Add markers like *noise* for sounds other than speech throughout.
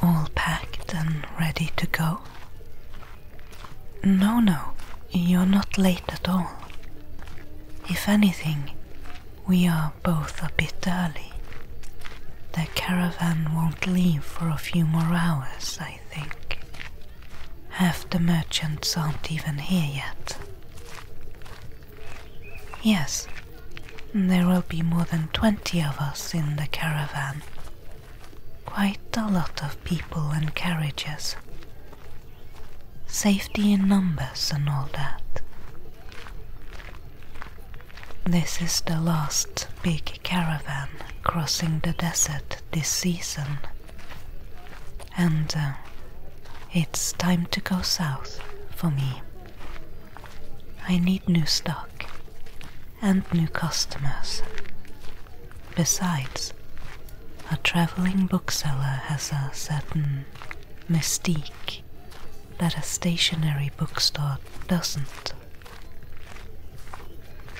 All packed and ready to go? No, no, you're not late at all. If anything, we are both a bit early. The caravan won't leave for a few more hours, I I think. Half the merchants aren't even here yet. Yes, there will be more than twenty of us in the caravan. Quite a lot of people and carriages. Safety in numbers and all that. This is the last big caravan crossing the desert this season, and uh, it's time to go south for me. I need new stock and new customers. Besides, a traveling bookseller has a certain mystique that a stationary bookstore doesn't.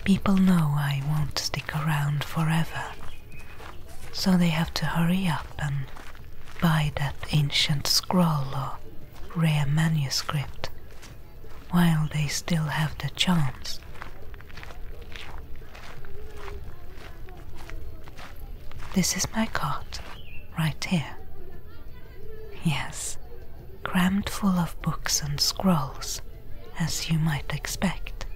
People know I won't stick around forever, so they have to hurry up and buy that ancient scroll or rare manuscript while they still have the chance. This is my cart, right here. Yes, crammed full of books and scrolls, as you might expect.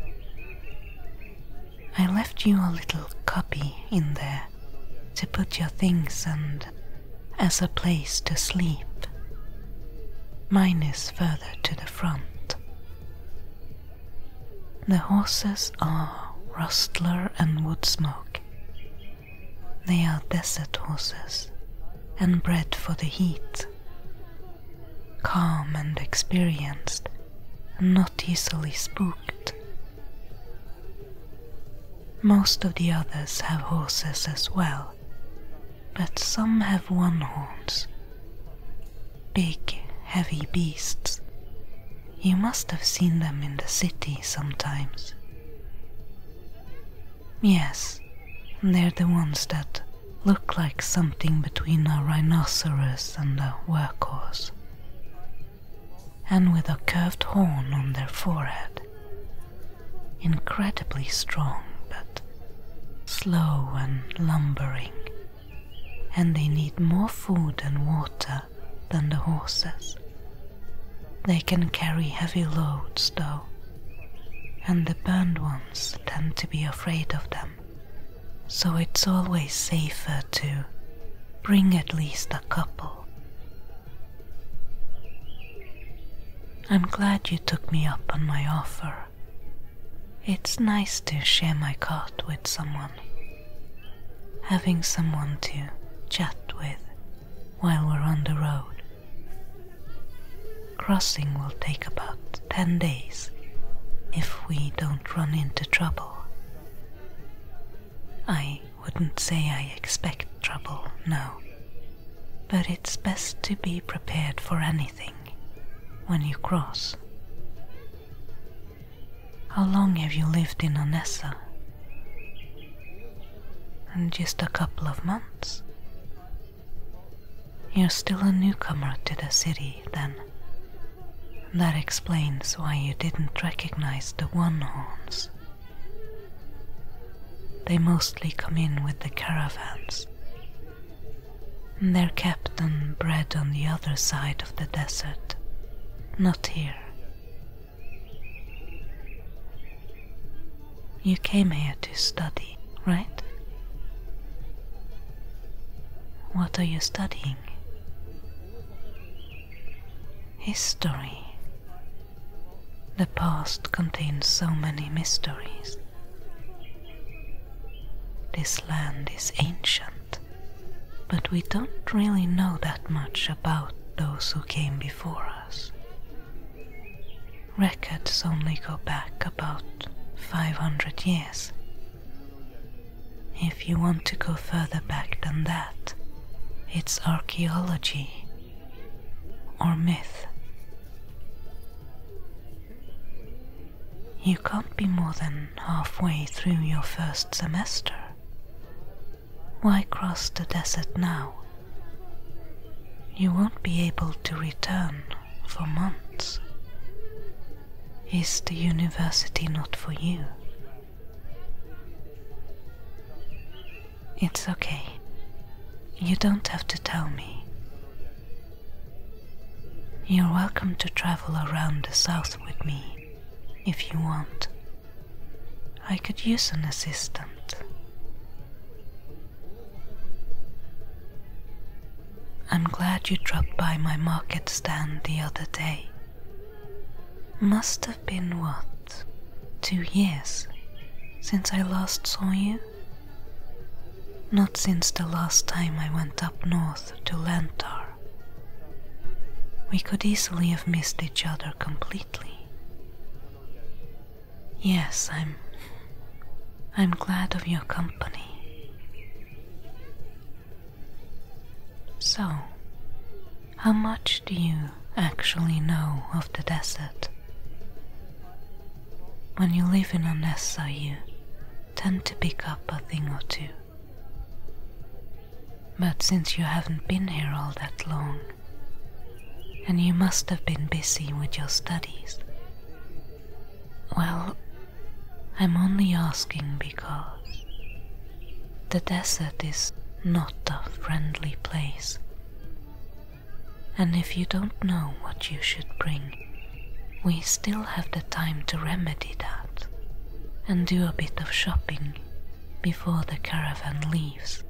I left you a little copy in there to put your things and as a place to sleep. Mine is further to the front. The horses are Rustler and Woodsmoke. They are desert horses and bred for the heat calm and experienced, and not easily spooked. Most of the others have horses as well, but some have one horns. Big, heavy beasts. You must have seen them in the city sometimes. Yes, they're the ones that Look like something between a rhinoceros and a workhorse, and with a curved horn on their forehead. Incredibly strong, but slow and lumbering, and they need more food and water than the horses. They can carry heavy loads, though, and the burned one ones tend to be afraid of them, so it's always safer to bring at least a couple. I'm glad you took me up on my offer. It's nice to share my cart with someone. Having someone to chat with while we're on the road. Crossing will take about 10 days if we don't run into trouble. I wouldn't say I expect trouble, no. But it's best to be prepared for anything when you cross. How long have you lived in Onessa? Just a couple of months. You're still a newcomer to the city, then. That explains why you didn't recognize the one horns. They mostly come in with the caravans. They're kept and bred on the other side of the desert, not here. You came here to study, right? What are you studying? History. The past contains so many mysteries. This land is ancient, but we don't really know that much about those who came before us. Records only go back about 500 years. If you want to go further back than that, it's archaeology or myth. You can't be more than halfway through your first semester. Why cross the desert now? You won't be able to return for months. Is the university not for you? It's okay. You don't have to tell me. You're welcome to travel around the south with me if you want. I could use an assistant. I'm glad you dropped by my market stand the other day. Must have been what? Two years since I last saw you? Not since the last time I went up north to Lantar. We could easily have missed each other completely. Yes, I'm I'm glad of your company. So, how much do you actually know of the desert? When you live in a nest, Onessa, you tend to pick up a thing or two. But since you haven't been here all that long, and you must have been busy with your studies, well, I'm only asking because the desert is not a friendly place. And if you don't know what you should bring, we still have the time to remedy that and do a bit of shopping before the caravan leaves.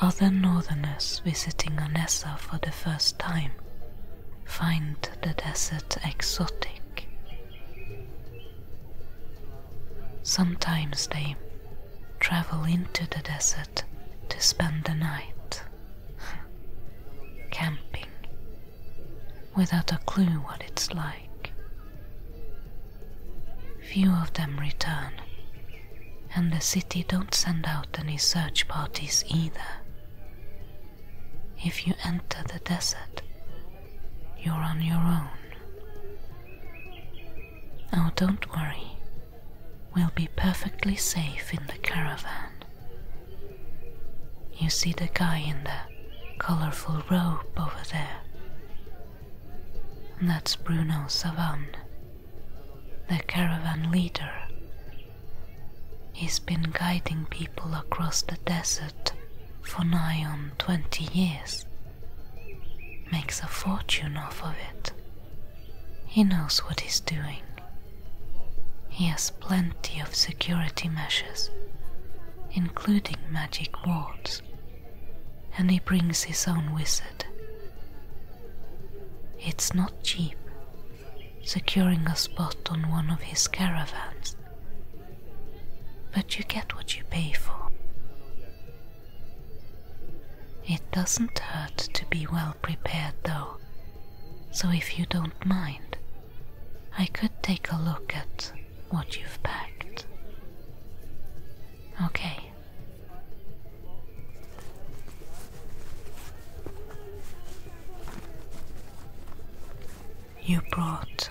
Other northerners visiting Anessa for the first time find the desert exotic. Sometimes they travel into the desert to spend the night camping without a clue what it's like. Few of them return and the city don't send out any search parties either. If you enter the desert, you're on your own. Oh, don't worry. We'll be perfectly safe in the caravan. You see the guy in the colorful robe over there? That's Bruno Savan, the caravan leader. He's been guiding people across the desert for nigh on 20 years. Makes a fortune off of it. He knows what he's doing. He has plenty of security measures, including magic wards, and he brings his own wizard. It's not cheap, securing a spot on one of his caravans. But you get what you pay for. It doesn't hurt to be well prepared, though, so if you don't mind, I could take a look at what you've packed. Okay, you brought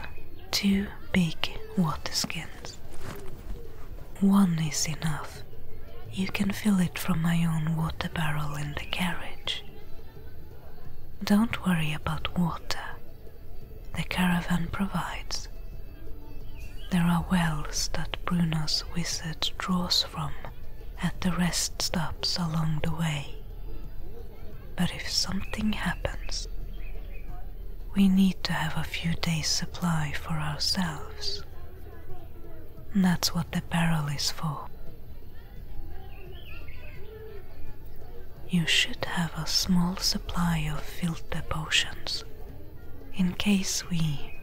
two big water skins. One is enough. You can fill it from my own water barrel in the carriage. Don't worry about water. The caravan provides. There are wells that Bruno's wizard draws from at the rest stops along the way. But if something happens, we need to have a few days' supply for ourselves. that's what the barrel is for. You should have a small supply of filter potions in case we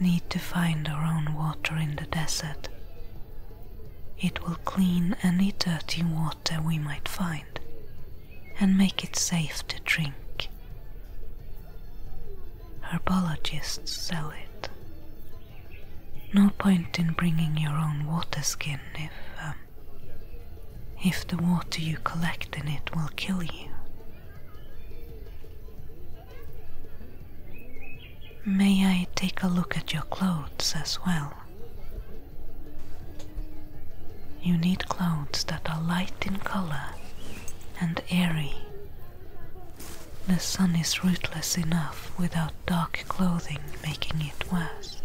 need to find our own water in the desert. It will clean any dirty water we might find and make it safe to drink. Herbologists sell it. No point in bringing your own water skin if. Um, if the water you collect in it will kill you. May I take a look at your clothes as well? You need clothes that are light in color and airy. The sun is ruthless enough without dark clothing making it worse.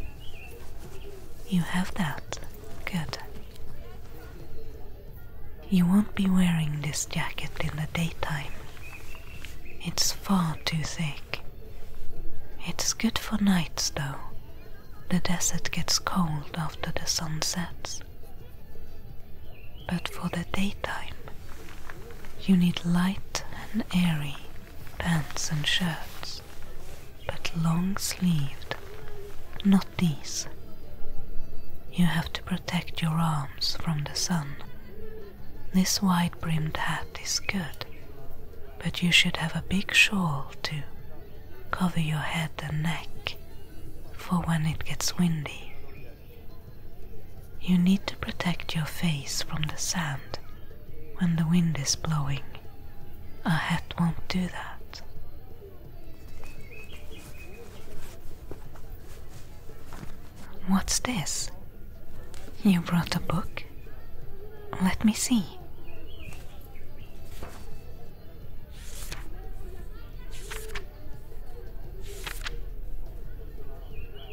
You have that? Good. You won't be wearing this jacket in the daytime. It's far too thick. It's good for nights though. The desert gets cold after the sun sets. But for the daytime, you need light and airy pants and shirts, but long sleeved, not these. You have to protect your arms from the sun this wide brimmed hat is good, but you should have a big shawl to cover your head and neck for when it gets windy. You need to protect your face from the sand when the wind is blowing. A hat won't do that. What's this? You brought a book? Let me see.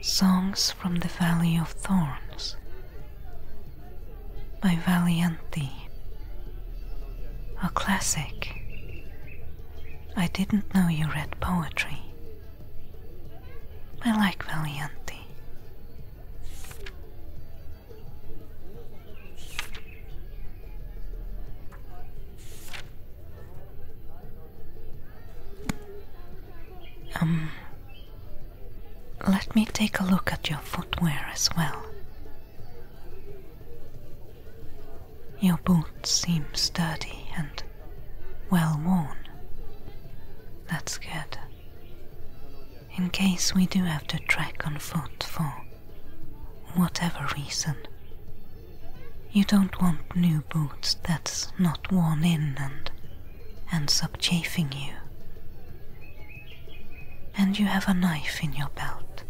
Songs from the Valley of Thorns by Valianti. A classic. I didn't know you read poetry. I like Valiante. Um, let me take a look at your footwear as well. Your boots seem sturdy and well worn. That's good. In case we do have to trek on foot for whatever reason, you don't want new boots that's not worn in and ends up chafing you. And you have a knife in your belt.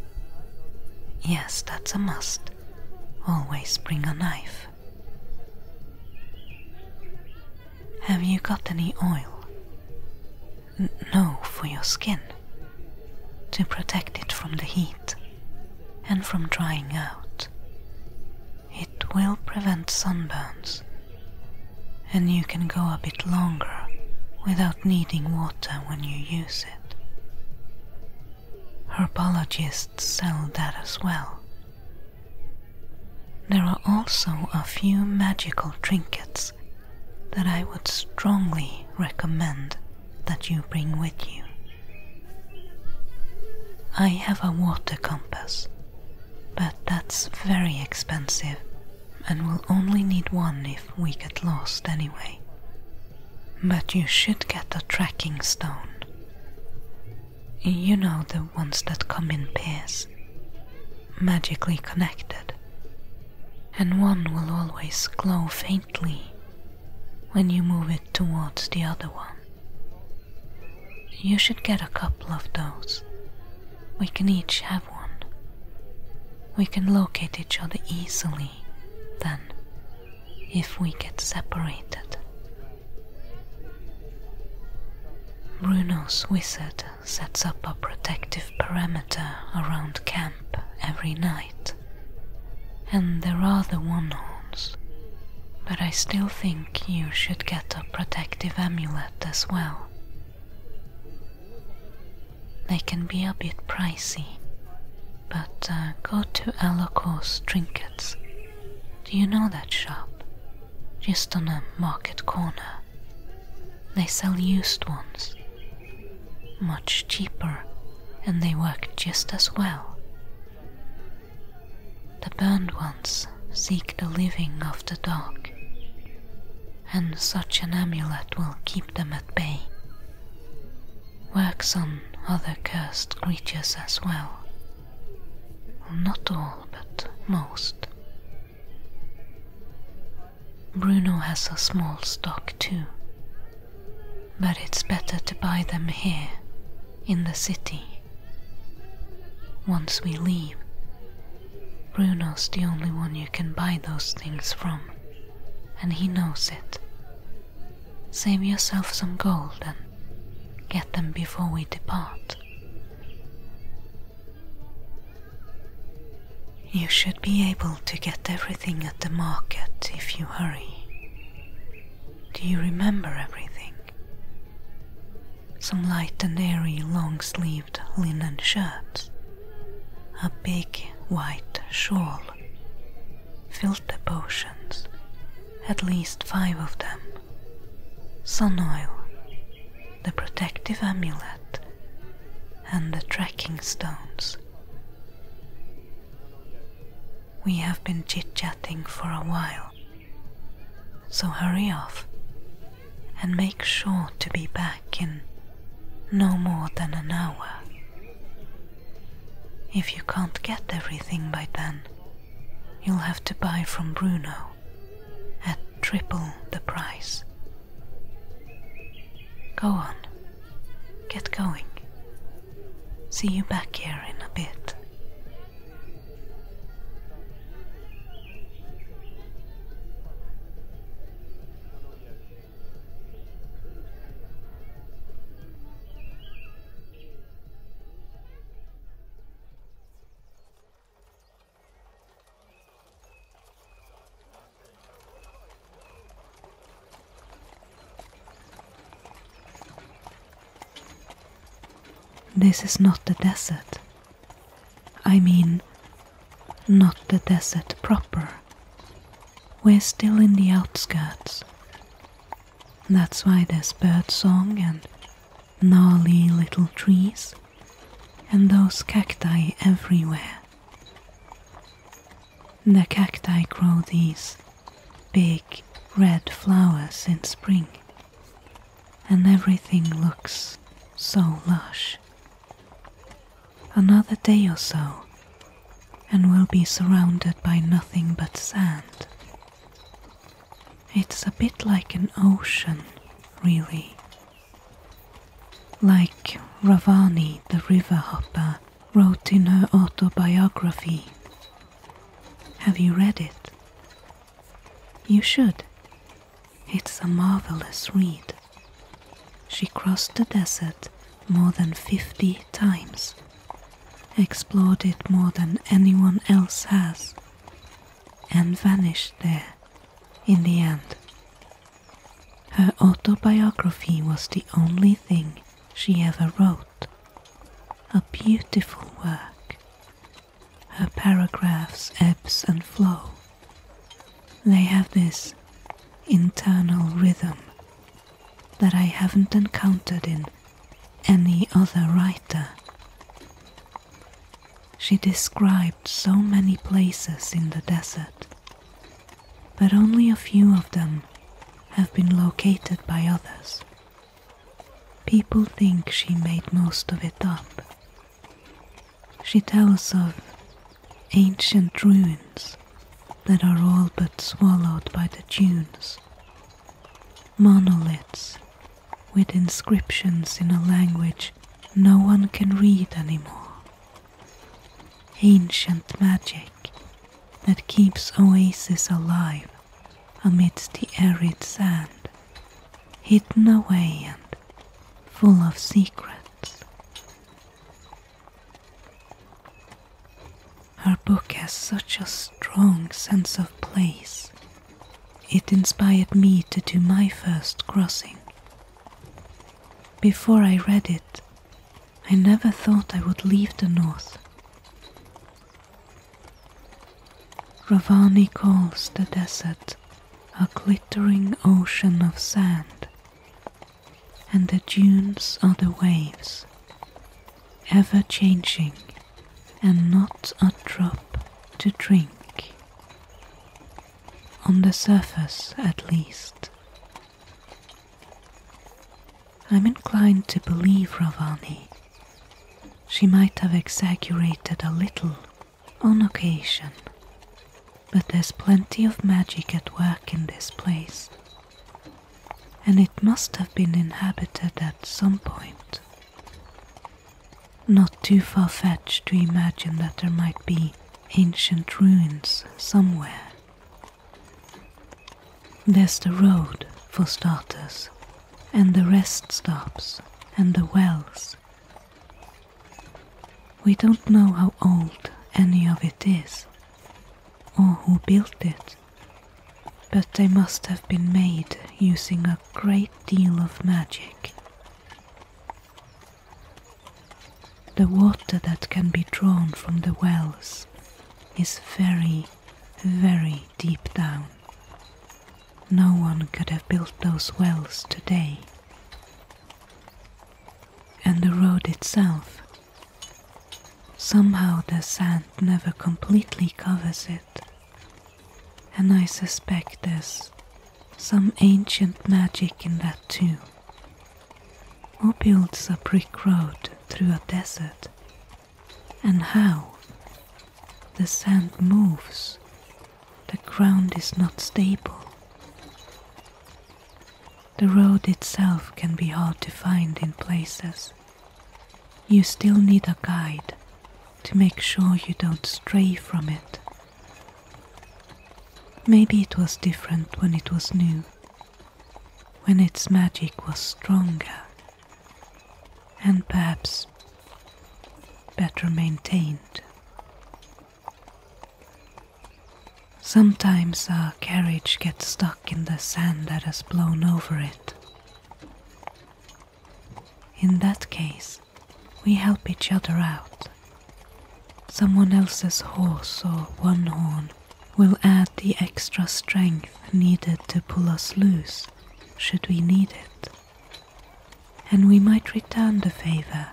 Yes, that's a must. Always bring a knife. Have you got any oil? no, for your skin, to protect it from the heat and from drying out. It will prevent sunburns, and you can go a bit longer without needing water when you use it. Herbologists sell that as well. There are also a few magical trinkets that I would strongly recommend that you bring with you. I have a water compass, but that's very expensive and we will only need one if we get lost anyway. But you should get a tracking stone. You know the ones that come in pairs, magically connected, and one will always glow faintly when you move it towards the other one. You should get a couple of those. We can each have one. We can locate each other easily, then, if we get separated. Bruno's wizard sets up a protective perimeter around camp every night, and there are the one horns, but I still think you should get a protective amulet as well. They can be a bit pricey, but uh, go to Alakor's trinket do you know that shop? Just on a market corner. They sell used ones. Much cheaper, and they work just as well. The burned ones seek the living after dark, and such an amulet will keep them at bay. Works on other cursed creatures as well. Not all, but most. Bruno has a small stock too, but it's better to buy them here, in the city. Once we leave, Bruno's the only one you can buy those things from, and he knows it. Save yourself some gold and get them before we depart. You should be able to get everything at the market if you hurry. Do you remember everything? Some light and airy long sleeved linen shirts, a big white shawl, filter potions, at least five of them sun oil, the protective amulet, and the tracking stones. We have been chit chatting for a while, so hurry off and make sure to be back in no more than an hour. If you can't get everything by then, you'll have to buy from Bruno at triple the price. Go on, get going. See you back here in a bit. This is not the desert. I mean, not the desert proper. We're still in the outskirts. That's why there's bird song and gnarly little trees and those cacti everywhere. The cacti grow these big red flowers in spring, and everything looks so lush. Another day or so, and we'll be surrounded by nothing but sand. It's a bit like an ocean, really. Like Ravani the river hopper wrote in her autobiography. Have you read it? You should. It's a marvelous read. She crossed the desert more than 50 times explored it more than anyone else has, and vanished there in the end. Her autobiography was the only thing she ever wrote, a beautiful work. Her paragraphs ebbs and flow. They have this internal rhythm that I haven't encountered in any other writer. She described so many places in the desert, but only a few of them have been located by others. People think she made most of it up. She tells of ancient ruins that are all but swallowed by the dunes, monoliths with inscriptions in a language no one can read anymore. Ancient magic that keeps oases alive amidst the arid sand, hidden away and full of secrets. Her book has such a strong sense of place it inspired me to do my first crossing. Before I read it, I never thought I would leave the north. Ravani calls the desert a glittering ocean of sand, and the dunes are the waves ever changing, and not a drop to drink. On the surface, at least. I'm inclined to believe Ravani. She might have exaggerated a little on occasion, but there's plenty of magic at work in this place, and it must have been inhabited at some point. Not too far fetched to imagine that there might be ancient ruins somewhere. There's the road, for starters, and the rest stops, and the wells. We don't know how old any of it is, or who built it but they must have been made using a great deal of magic. The water that can be drawn from the wells is very, very deep down. No one could have built those wells today. And the road itself. Somehow the sand never completely covers it, and I suspect there's some ancient magic in that too. Who builds a brick road through a desert? And how? The sand moves, the ground is not stable. The road itself can be hard to find in places you still need a guide to make sure you don't stray from it. Maybe it was different when it was new, when its magic was stronger and perhaps better maintained. Sometimes our carriage gets stuck in the sand that has blown over it. In that case, we help each other out. Someone else's horse or one horn will add the extra strength needed to pull us loose should we need it. And we might return the favor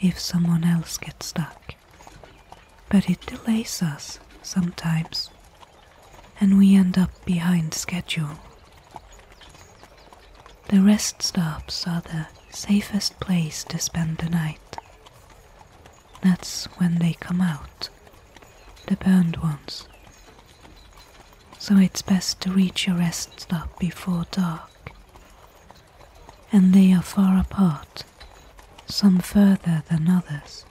if someone else gets stuck. But it delays us sometimes and we end up behind schedule. The rest stops are the safest place to spend the night. That's when they come out, the burned ones. So it's best to reach a rest stop before dark. And they are far apart, some further than others.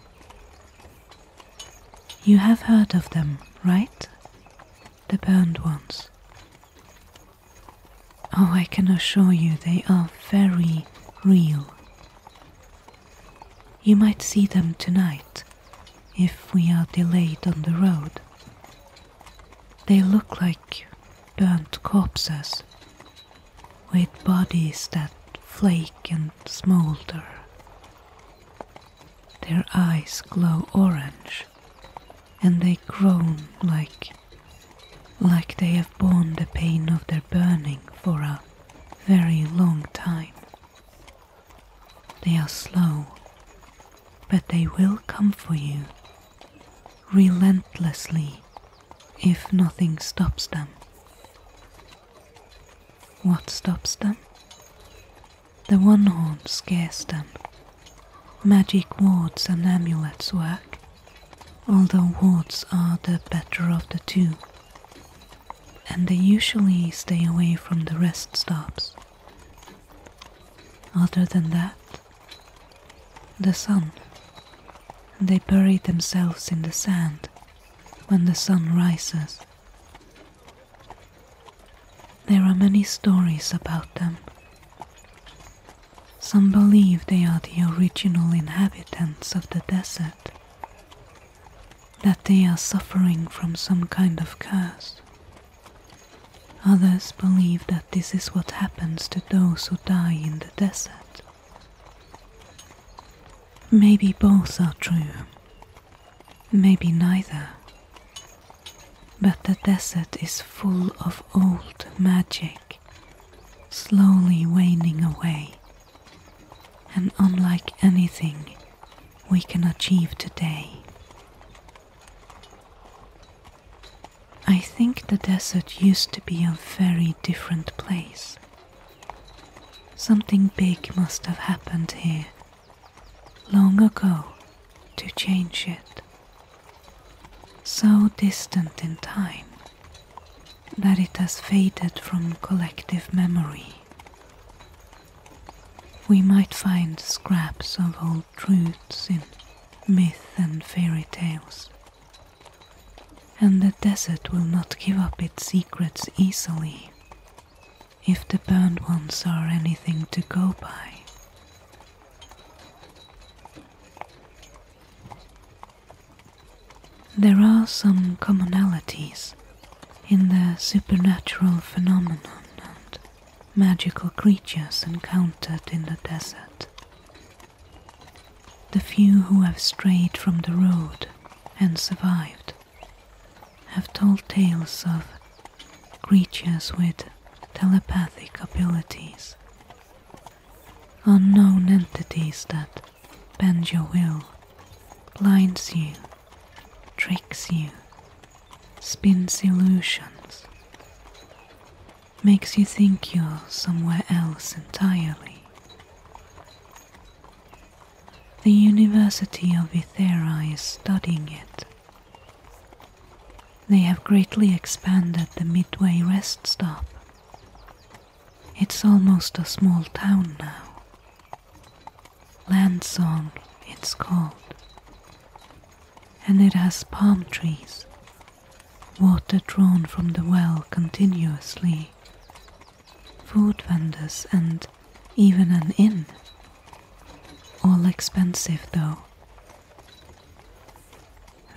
You have heard of them, right? The burned ones. Oh, I can assure you they are very real. You might see them tonight if we are delayed on the road. They look like burnt corpses with bodies that flake and smoulder. Their eyes glow orange, and they groan like like they have borne the pain of their burning for a very long time. They are slow, but they will come for you relentlessly if nothing stops them. What stops them? The one horn scares them. Magic wards and amulets work, although wards are the better of the two, and they usually stay away from the rest stops. Other than that, the sun. They bury themselves in the sand when the sun rises, there are many stories about them. Some believe they are the original inhabitants of the desert, that they are suffering from some kind of curse. Others believe that this is what happens to those who die in the desert. Maybe both are true, maybe neither, but the desert is full of old magic, slowly waning away, and unlike anything we can achieve today. I think the desert used to be a very different place. Something big must have happened here long ago to change it, so distant in time that it has faded from collective memory. We might find scraps of old truths in myth and fairy tales, and the desert will not give up its secrets easily if the burned ones are anything to go by. There are some commonalities in the supernatural phenomenon and magical creatures encountered in the desert. The few who have strayed from the road and survived have told tales of creatures with telepathic abilities, unknown entities that bend your will, blinds you, tricks you, spins illusions, makes you think you're somewhere else entirely. The University of Ithera is studying it they have greatly expanded the Midway rest stop. It's almost a small town now. Landsong, it's called. And it has palm trees, water drawn from the well continuously, food vendors, and even an inn. All expensive though.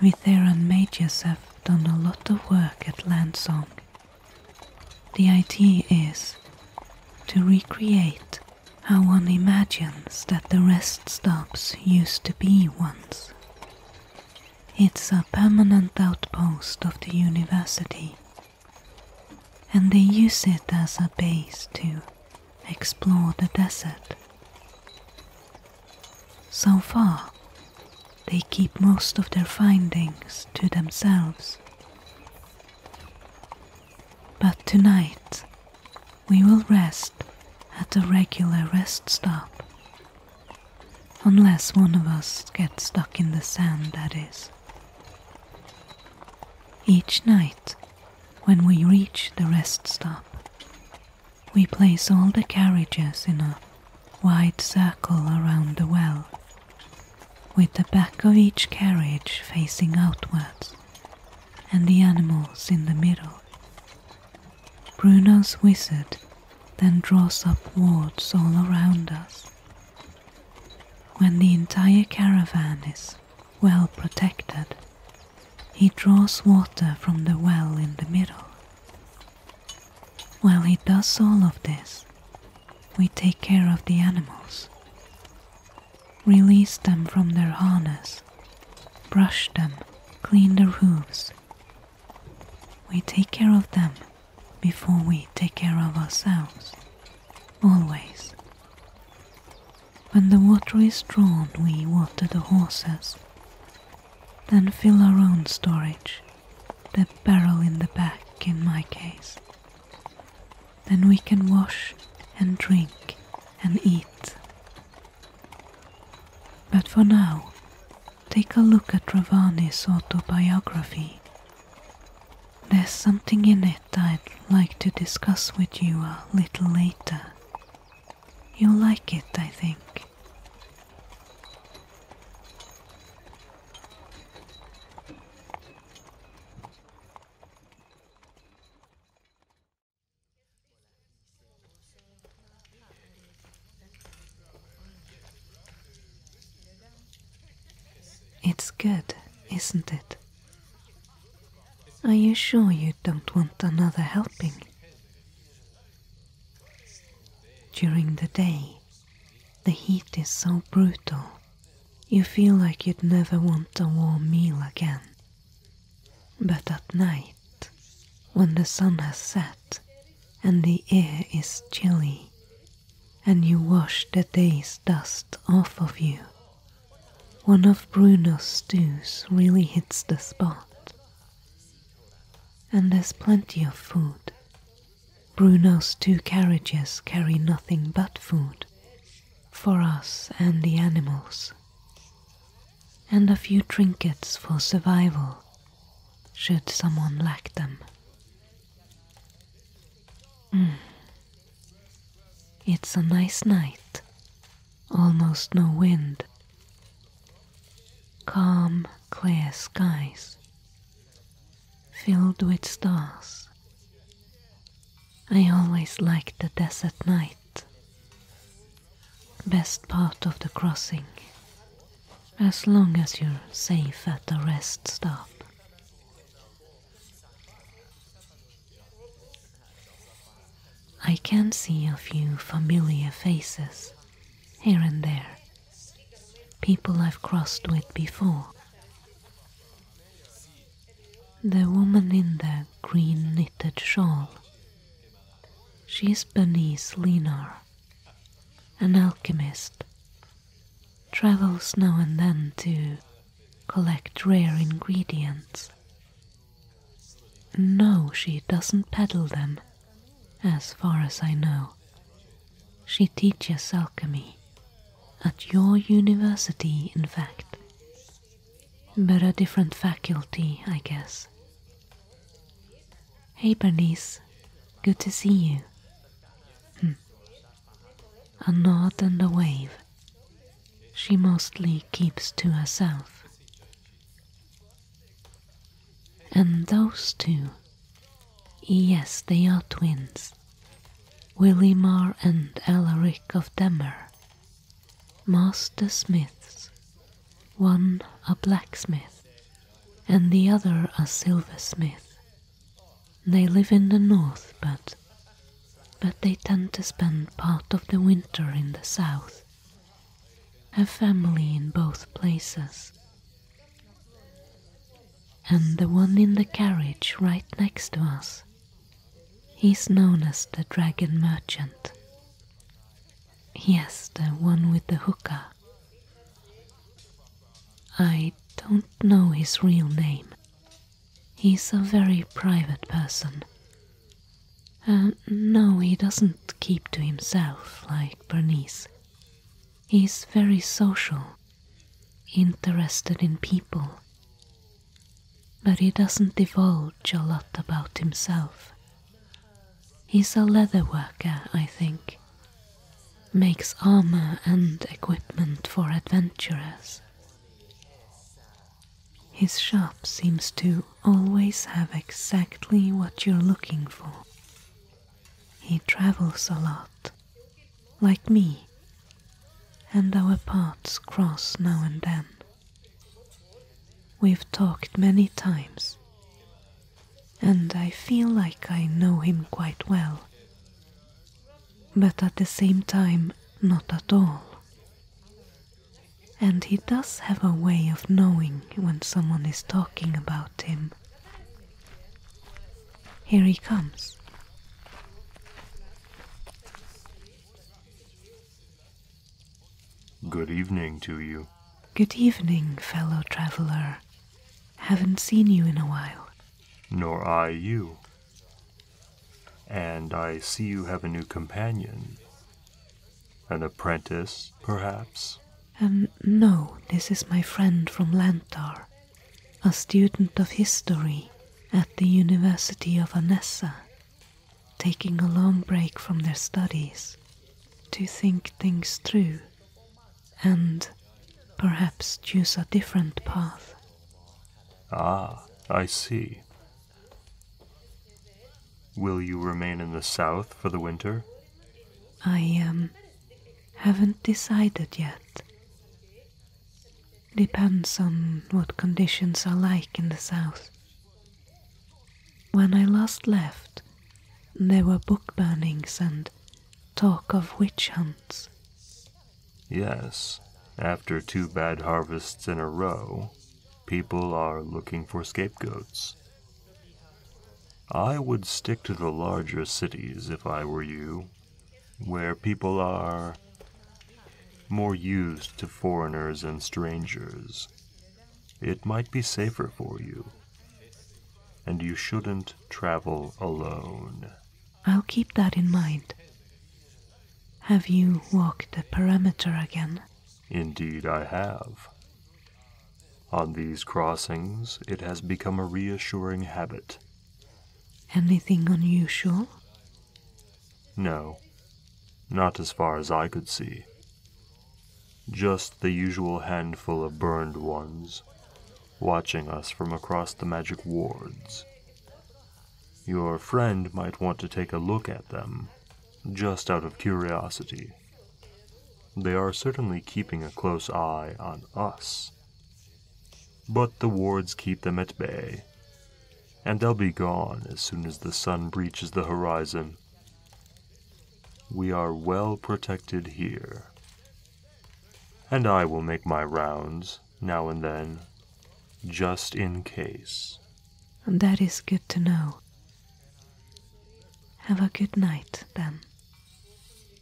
Vitheran mages have done a lot of work at Landsong. The idea is to recreate how one imagines that the rest stops used to be once. It's a permanent outpost of the university, and they use it as a base too explore the desert. So far, they keep most of their findings to themselves. But tonight, we will rest at a regular rest stop. Unless one of us gets stuck in the sand, that is. Each night, when we reach the rest stop, we place all the carriages in a wide circle around the well, with the back of each carriage facing outwards and the animals in the middle. Bruno's wizard then draws up wards all around us. When the entire caravan is well protected. He draws water from the well in the middle. While he does all of this, we take care of the animals, release them from their harness, brush them, clean their hooves. We take care of them before we take care of ourselves always. When the water is drawn, we water the horses, then fill our own storage, the barrel in the back in my case. Then we can wash and drink and eat. But for now, take a look at Ravani's autobiography. There's something in it I'd like to discuss with you a little later. You'll like it, I think. It's good, isn't it? Are you sure you don't want another helping? During the day, the heat is so brutal, you feel like you'd never want a warm meal again. But at night, when the sun has set and the air is chilly, and you wash the day's dust off of you one of Bruno's stews really hits the spot. And there's plenty of food. Bruno's two carriages carry nothing but food for us and the animals, and a few trinkets for survival should someone lack them. Mm. It's a nice night. Almost no wind. Calm, clear skies. Filled with stars. I always like the desert night. Best part of the crossing. As long as you're safe at the rest stop. I can see a few familiar faces here and there, people I've crossed with before. The woman in the green knitted shawl. She's Bernice Linar, an alchemist. Travels now and then to collect rare ingredients. No, she doesn't peddle them, as far as I know. She teaches alchemy, at your university, in fact. But a different faculty, I guess. Hey, Bernice, good to see you. Hmm. A nod and a wave she mostly keeps to herself. And those two, yes, they are twins, Willimar and Alaric of Demer, master smiths, one a blacksmith and the other a silversmith. They live in the north, but but they tend to spend part of the winter in the south, have family in both places. And the one in the carriage right next to us, he's known as the dragon merchant. Yes, the one with the hookah. I don't know his real name, He's a very private person. Uh, no, he doesn't keep to himself like Bernice. He's very social, interested in people, but he doesn't divulge a lot about himself. He's a leather worker, I think. Makes armor and equipment for adventurers. His shop seems to always have exactly what you're looking for. He travels a lot, like me, and our paths cross now and then. We've talked many times, and I feel like I know him quite well, but at the same time, not at all. And he does have a way of knowing when someone is talking about him. Here he comes. Good evening to you. Good evening, fellow traveler. Haven't seen you in a while. Nor I you. And I see you have a new companion. An apprentice, perhaps? Um, no, this is my friend from Lantar, a student of history at the University of Anessa, taking a long break from their studies to think things through and perhaps choose a different path. Ah, I see. Will you remain in the south for the winter? I um, haven't decided yet. Depends on what conditions are like in the south. When I last left, there were book burnings and talk of witch hunts. Yes, after two bad harvests in a row, People are looking for scapegoats. I would stick to the larger cities if I were you, where people are more used to foreigners and strangers. It might be safer for you, and you shouldn't travel alone. I'll keep that in mind. Have you walked the perimeter again? Indeed, I have. On these crossings, it has become a reassuring habit. Anything unusual? No, not as far as I could see. Just the usual handful of burned ones, watching us from across the magic wards. Your friend might want to take a look at them, just out of curiosity. They are certainly keeping a close eye on us. But the wards keep them at bay, and they'll be gone as soon as the sun breaches the horizon. We are well protected here. And I will make my rounds, now and then, just in case. that is good to know. Have a good night, then.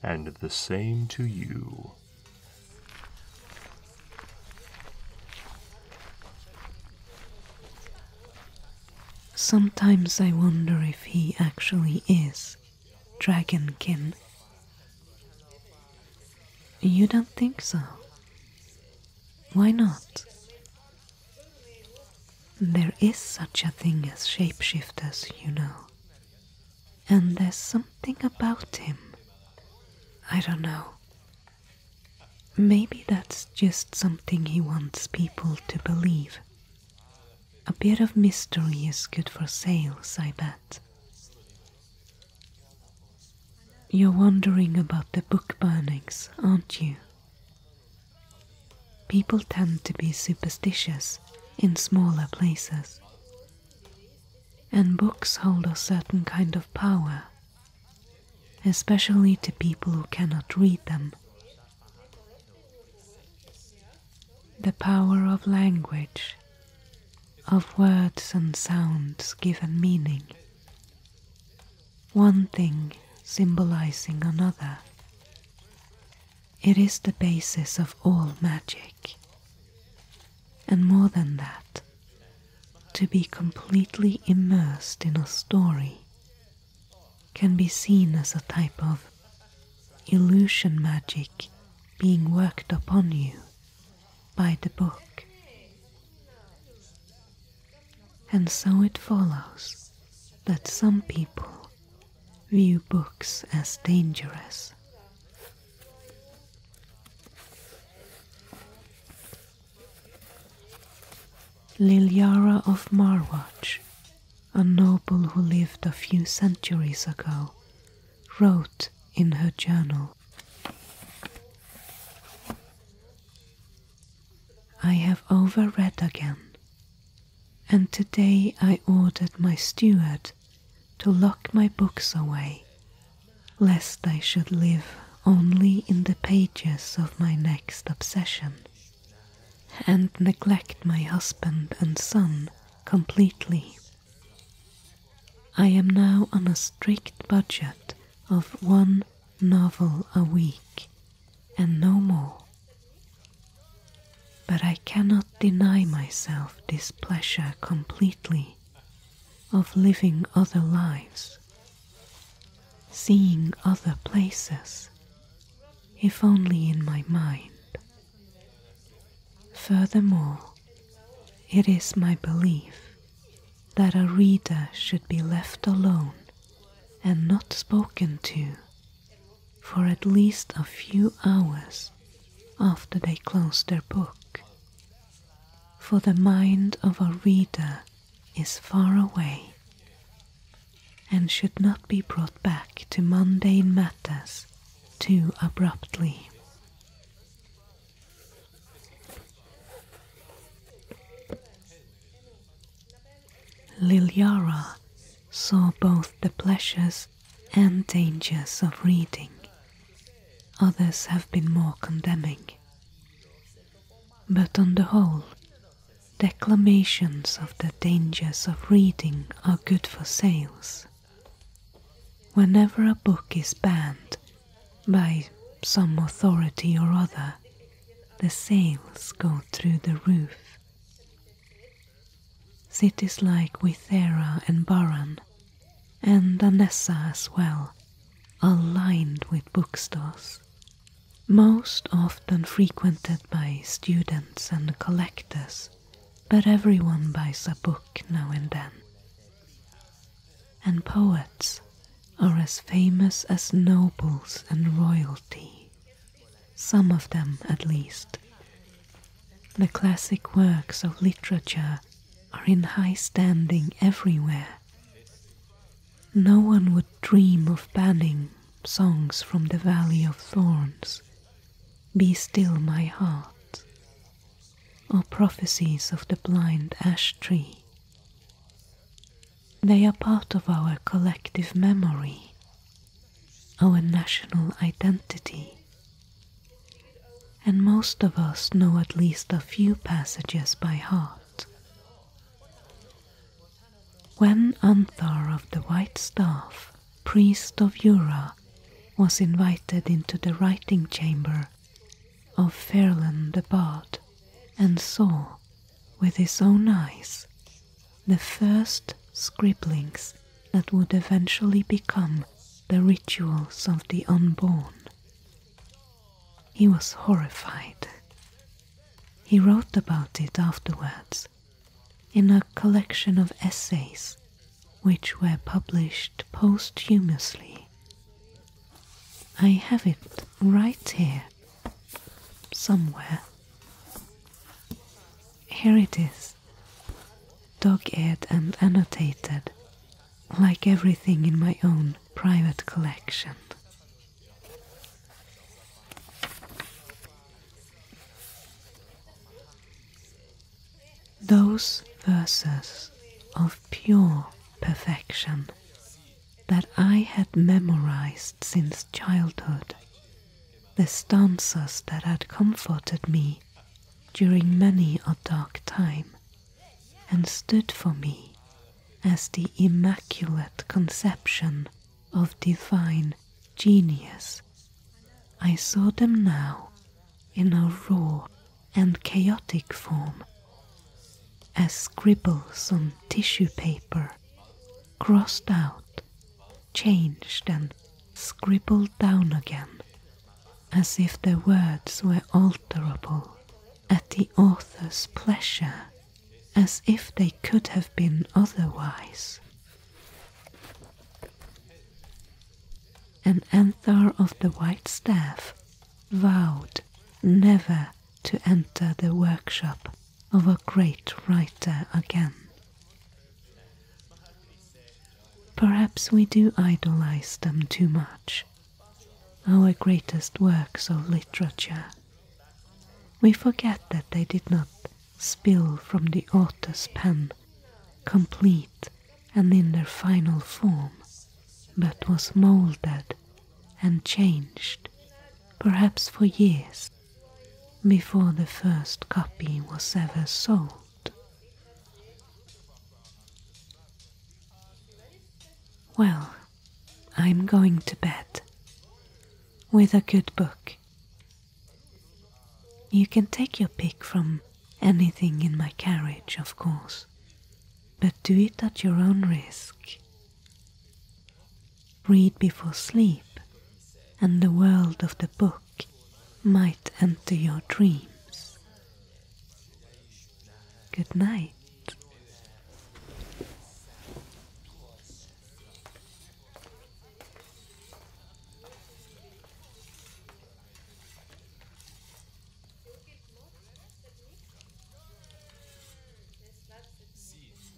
And the same to you. Sometimes I wonder if he actually is Dragonkin. You don't think so? Why not? There is such a thing as shapeshifters, you know. And there's something about him. I don't know. Maybe that's just something he wants people to believe. A bit of mystery is good for sales, I bet. You're wondering about the book burnings, aren't you? People tend to be superstitious in smaller places, and books hold a certain kind of power, especially to people who cannot read them. The power of language, of words and sounds given meaning one thing symbolizing another. It is the basis of all magic. And more than that, to be completely immersed in a story can be seen as a type of illusion magic being worked upon you by the book. And so it follows that some people view books as dangerous. Lilyara of Marwach, a noble who lived a few centuries ago, wrote in her journal I have overread again, and today I ordered my steward to lock my books away, lest I should live only in the pages of my next obsession, and neglect my husband and son completely. I am now on a strict budget of one novel a week and no more. But I cannot deny myself this pleasure completely of living other lives, seeing other places, if only in my mind. Furthermore, it is my belief that a reader should be left alone and not spoken to for at least a few hours after they close their book. For the mind of a reader is far away and should not be brought back to mundane matters too abruptly. Lilyara saw both the pleasures and dangers of reading. Others have been more condemning. But on the whole, declamations of the dangers of reading are good for sales. Whenever a book is banned by some authority or other, the sails go through the roof. Cities like Withera and Baran, and Anessa as well, are lined with bookstores, most often frequented by students and collectors, but everyone buys a book now and then and poets are as famous as nobles and royalty, some of them at least. The classic works of literature are in high standing everywhere. No one would dream of banning songs from the Valley of Thorns, Be Still My Heart, or prophecies of the blind ash tree. They are part of our collective memory, our national identity, and most of us know at least a few passages by heart. When Anthar of the White Staff, priest of Jura, was invited into the writing chamber of Ferland the Bard and saw with his own eyes the first scribblings that would eventually become the rituals of the unborn. He was horrified. He wrote about it afterwards in a collection of essays which were published posthumously I have it right here, somewhere. Here it is, dog eared and annotated, like everything in my own private collection. Those verses of pure perfection that I had memorized since childhood, the stanzas that had comforted me during many a dark time, and stood for me as the immaculate conception of divine genius. I saw them now in a raw and chaotic form as scribbles on tissue paper, crossed out, changed, and scribbled down again, as if the words were alterable at the author's pleasure, as if they could have been otherwise. An Anthar of the White Staff vowed never to enter the workshop of a great writer again. Perhaps we do idolize them too much, our greatest works of literature. We forget that they did not spill from the author's pen, complete and in their final form, but was molded and changed, perhaps for years, before the first copy was ever sold. Well, I'm going to bed with a good book. You can take your pick from anything in my carriage, of course, but do it at your own risk read before sleep, and the world of the book might enter your dreams. Good night.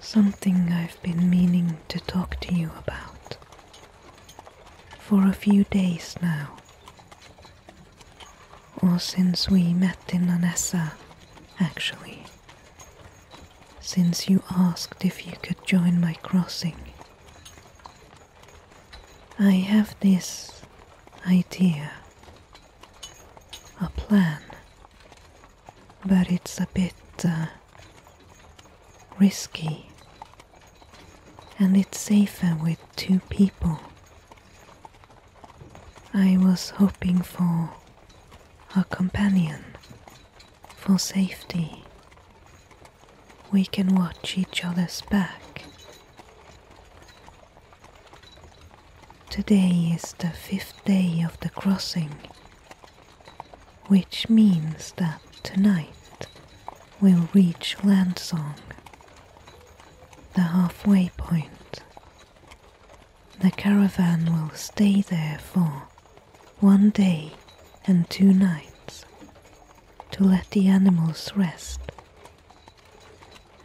Something I've been meaning to talk to you about for a few days now, or since we met in Anessa, actually. Since you asked if you could join my crossing, I have this idea, a plan but it's a bit uh, risky. And it's safer with two people. I was hoping for a companion for safety. We can watch each other's back. Today is the fifth day of the crossing which means that tonight we'll reach Landsong, the halfway point. The caravan will stay there for one day and two nights to let the animals rest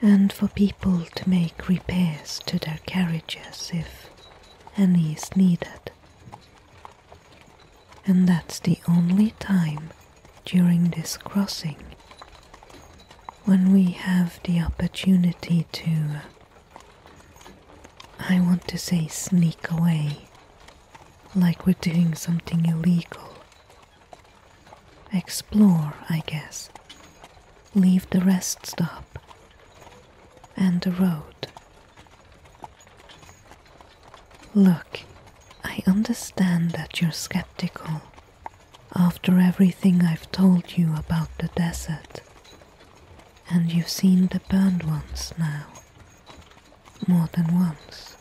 and for people to make repairs to their carriages if any is needed. And that's the only time during this crossing when we have the opportunity to, I want to say, sneak away like we're doing something illegal. Explore, I guess. Leave the rest stop and the road Look, I understand that you're skeptical after everything I've told you about the desert. And you've seen the burned ones now, more than once.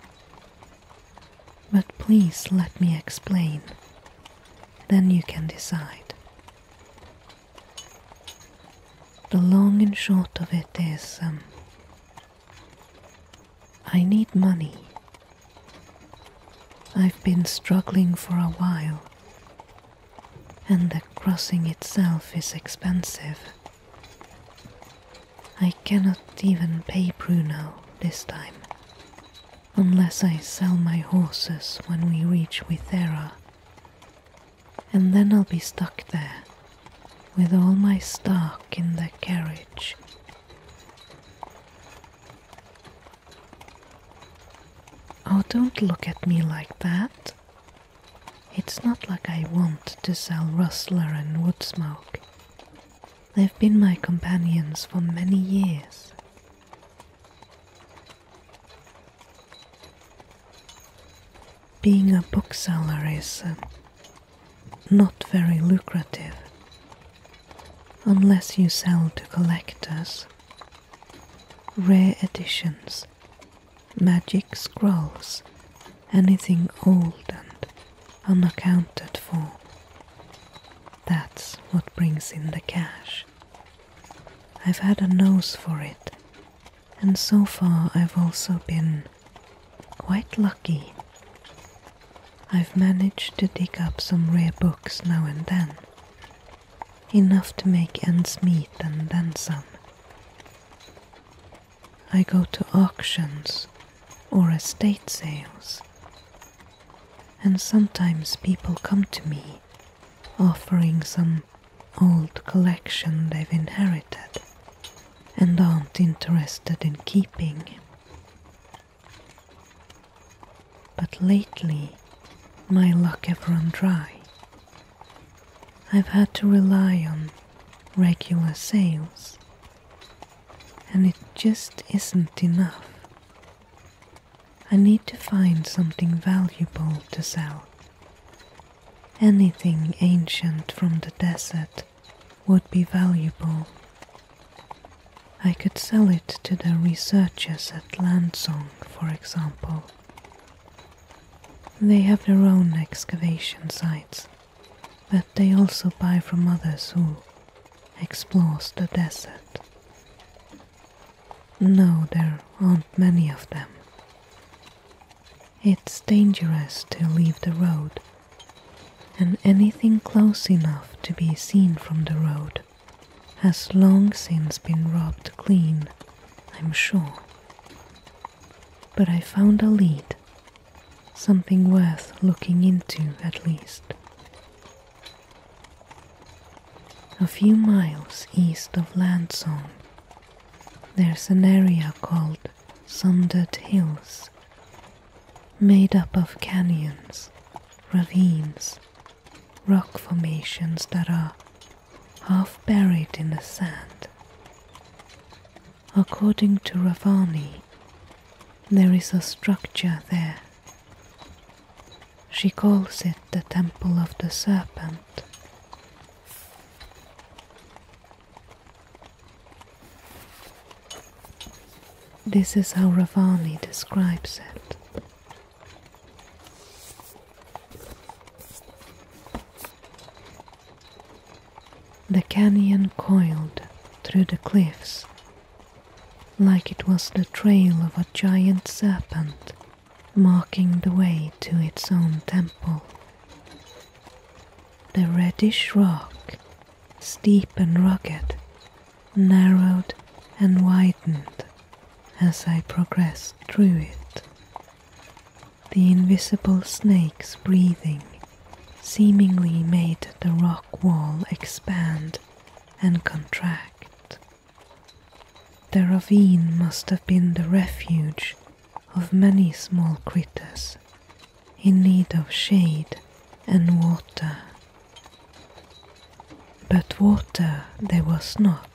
But please let me explain, then you can decide. The long and short of it is um, I need money. I've been struggling for a while, and the crossing itself is expensive. I cannot even pay Bruno this time, unless I sell my horses when we reach Withera and then I'll be stuck there with all my stock in the carriage. Oh, don't look at me like that. It's not like I want to sell Rustler and Woodsmoke. They've been my companions for many years being a bookseller is uh, not very lucrative unless you sell to collectors. Rare editions, magic scrolls, anything old and unaccounted for. That's what brings in the cash. I've had a nose for it and so far I've also been quite lucky. I've managed to dig up some rare books now and then, enough to make ends meet and then some. I go to auctions or estate sales, and sometimes people come to me offering some old collection they've inherited and aren't interested in keeping. But lately, my luck have run dry. I've had to rely on regular sales, and it just isn't enough. I need to find something valuable to sell Anything ancient from the desert would be valuable. I could sell it to the researchers at Landsong, for example. They have their own excavation sites, but they also buy from others who explore the desert. No, there aren't many of them. It's dangerous to leave the road, and anything close enough to be seen from the road has long since been robbed clean, I'm sure. But I found a lead, something worth looking into at least. A few miles east of Landsong there's an area called Sundered Hills, made up of canyons, ravines, rock formations that are half buried in the sand. According to Ravani, there is a structure there. She calls it the Temple of the Serpent, this is how Ravani describes it. The canyon coiled through the cliffs like it was the trail of a giant serpent marking the way to its own temple. The reddish rock, steep and rugged, narrowed and widened as I progressed through it. The invisible snake's breathing seemingly made the rock wall expand and contract. The ravine must have been the refuge of many small critters in need of shade and water. But water there was not,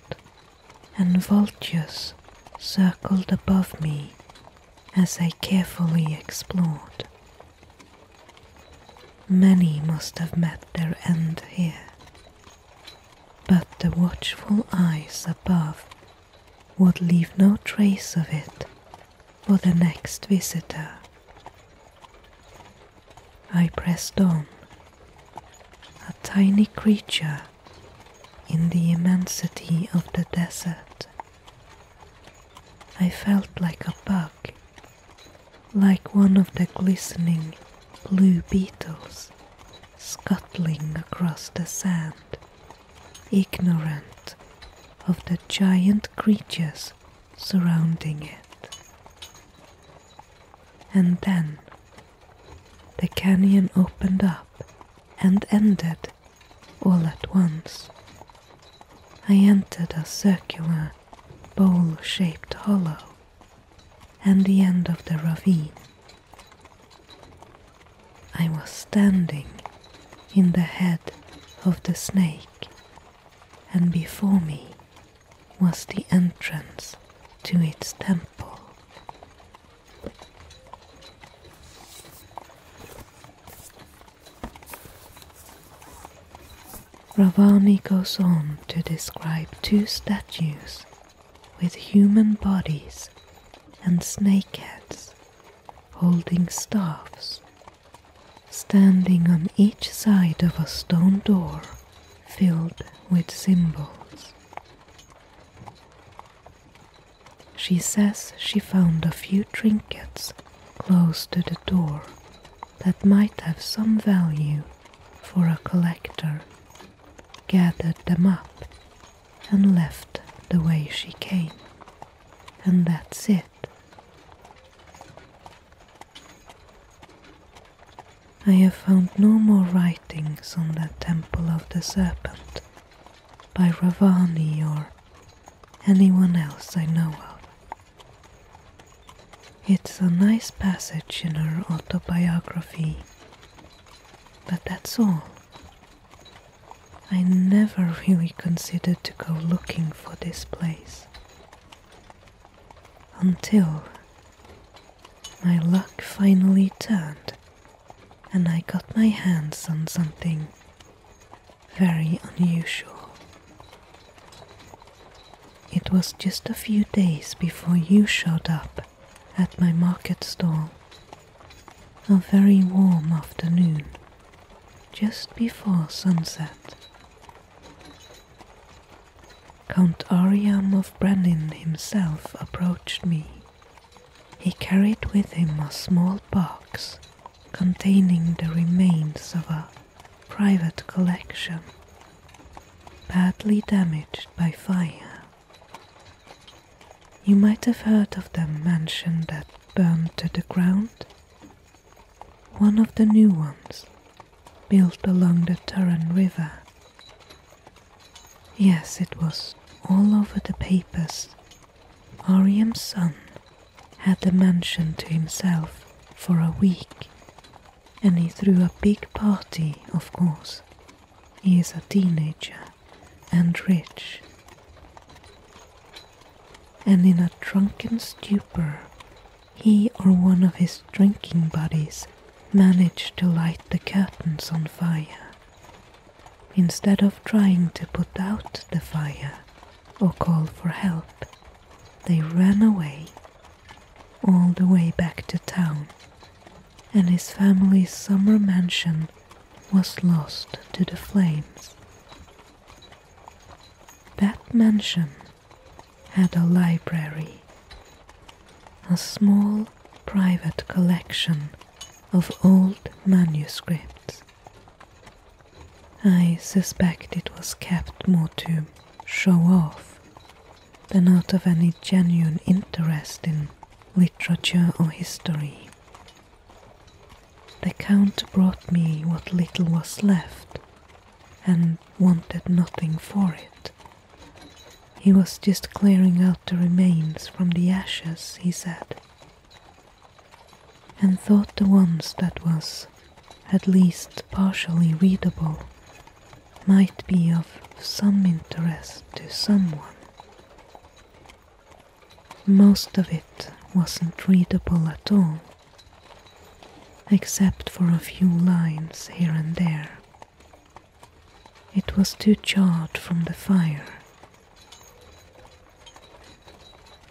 and vultures circled above me as I carefully explored. Many must have met their end here, but the watchful eyes above would leave no trace of it for the next visitor. I pressed on, a tiny creature in the immensity of the desert. I felt like a bug, like one of the glistening blue beetles scuttling across the sand ignorant of the giant creatures surrounding it. And then the canyon opened up and ended all at once. I entered a circular, bowl shaped hollow and the end of the ravine. I was standing in the head of the snake, and before me was the entrance to its temple. Ravani goes on to describe two statues with human bodies and snake heads holding staffs, standing on each side of a stone door filled with symbols. She says she found a few trinkets close to the door that might have some value for a collector, gathered them up and left the way she came. And that's it. I have found no more writings on that temple of the serpent by Ravani or anyone else I know of. It's a nice passage in her autobiography, but that's all. I never really considered to go looking for this place until my luck finally turned and I got my hands on something very unusual. It was just a few days before you showed up at my market stall a very warm afternoon just before sunset. Count Ariam of Brenin himself approached me. He carried with him a small box containing the remains of a private collection, badly damaged by fire. You might have heard of the mansion that burned to the ground. One of the new ones, built along the Turan River. Yes, it was all over the papers. Ariam's son had the mansion to himself for a week, and he threw a big party, of course. He is a teenager and rich. And in a drunken stupor, he or one of his drinking buddies managed to light the curtains on fire. Instead of trying to put out the fire or call for help, they ran away, all the way back to town, and his family's summer mansion was lost to the flames. That mansion had a library, a small private collection of old manuscripts. I suspect it was kept more to show off than out of any genuine interest in literature or history. The count brought me what little was left and wanted nothing for it. He was just clearing out the remains from the ashes, he said, and thought the ones that was at least partially readable might be of some interest to someone. Most of it wasn't readable at all, except for a few lines here and there. It was too charred from the fire.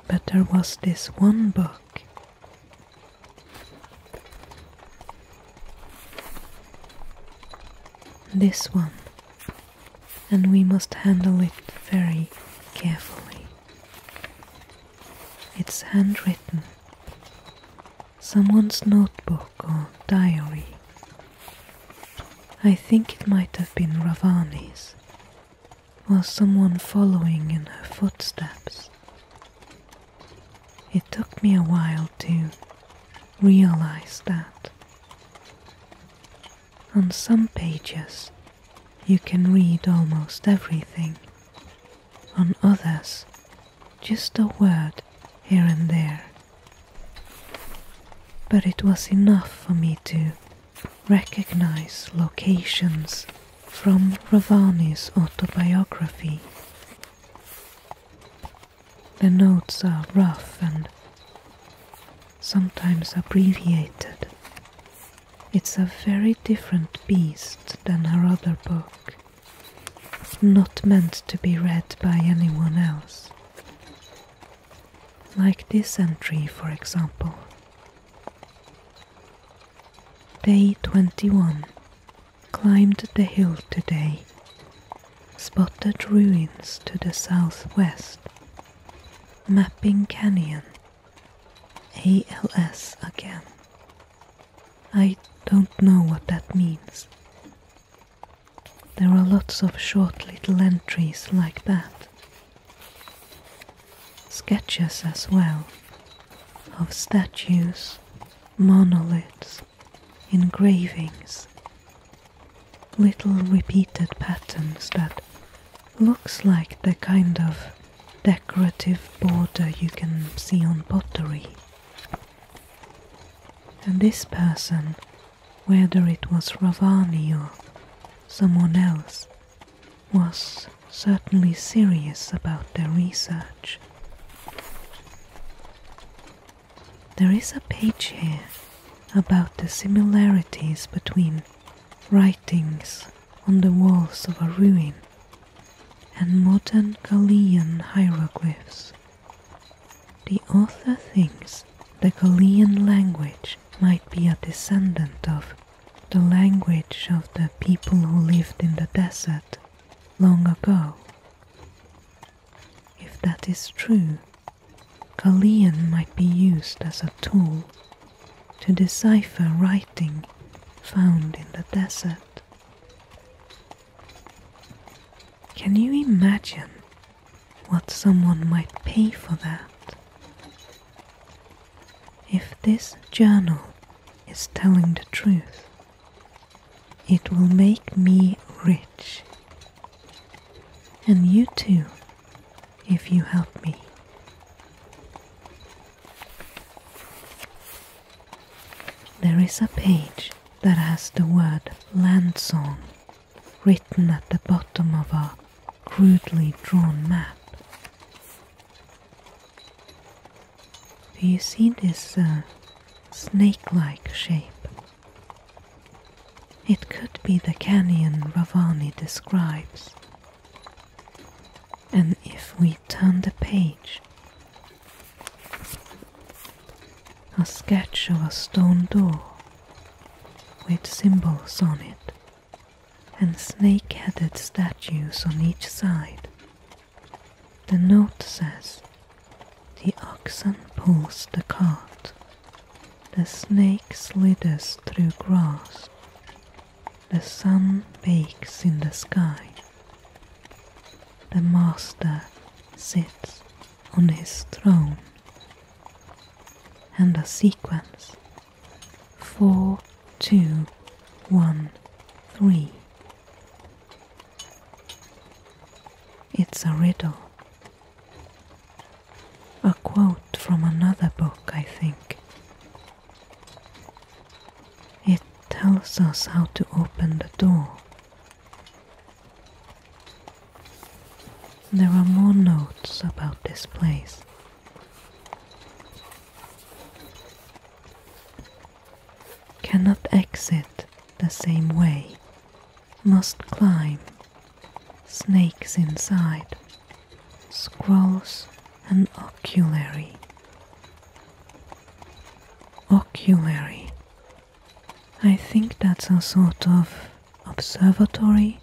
But there was this one book. This one and we must handle it very carefully. It's handwritten, someone's notebook or diary. I think it might have been Ravani's, or someone following in her footsteps. It took me a while to realize that. On some pages, you can read almost everything. On others, just a word here and there. But it was enough for me to recognize locations from Ravani's autobiography. The notes are rough and sometimes abbreviated. It's a very different beast than her other book, not meant to be read by anyone else. Like this entry, for example. Day 21. Climbed the hill today. Spotted ruins to the southwest Mapping Canyon. ALS again. I don't know what that means. There are lots of short little entries like that. Sketches as well of statues, monoliths, engravings, little repeated patterns that looks like the kind of decorative border you can see on pottery. And this person, whether it was Ravani or someone else, was certainly serious about their research. There is a page here about the similarities between writings on the walls of a ruin and modern Galilean hieroglyphs. The author thinks the Galilean language might be a descendant of the language of the people who lived in the desert long ago. If that is true, Galilean might be used as a tool to decipher writing found in the desert. Can you imagine what someone might pay for that? If this journal is telling the truth, it will make me rich. And you too if you help me. There is a page that has the word "land song" written at the bottom of a crudely drawn map. Do you see this uh, snake like shape it could be the canyon Ravani describes. And if we turn the page, a sketch of a stone door with symbols on it and snake headed statues on each side. The note says, The oxen pulls the cart the snake slithers through grass. The sun bakes in the sky. The master sits on his throne. And the sequence four, two, one, three. It's a riddle a quote from another book, I think. It tells us how to open the door. There are more notes about this place. Cannot exit the same way. Must climb. Snakes inside scrolls, and oculary. Oculary. I think that's a sort of observatory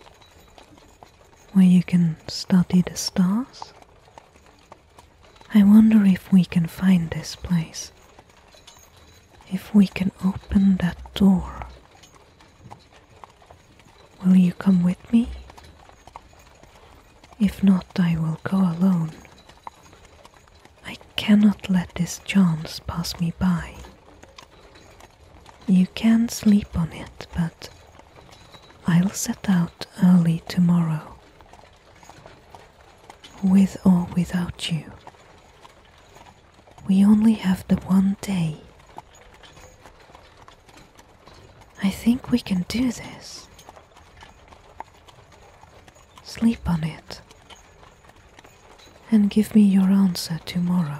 where you can study the stars. I wonder if we can find this place. If we can open that door Will you come with me? If not, I will go alone. I cannot let this chance pass me by. You can sleep on it, but I'll set out early tomorrow. With or without you, we only have the one day. I think we can do this. Sleep on it and give me your answer tomorrow.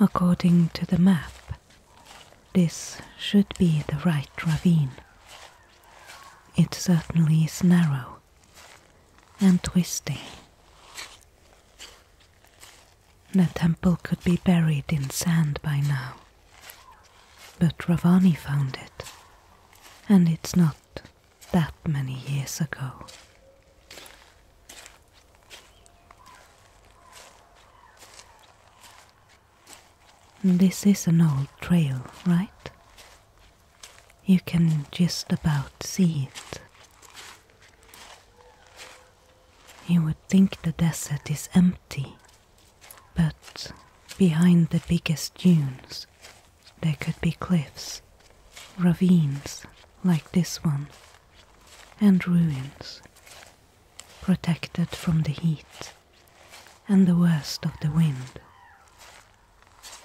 According to the map, this should be the right ravine. It certainly is narrow and twisting. The temple could be buried in sand by now, but Ravani found it, and it's not that many years ago. This is an old trail, right? You can just about see it. You would think the desert is empty, but behind the biggest dunes there could be cliffs, ravines like this one, and ruins protected from the heat and the worst of the wind.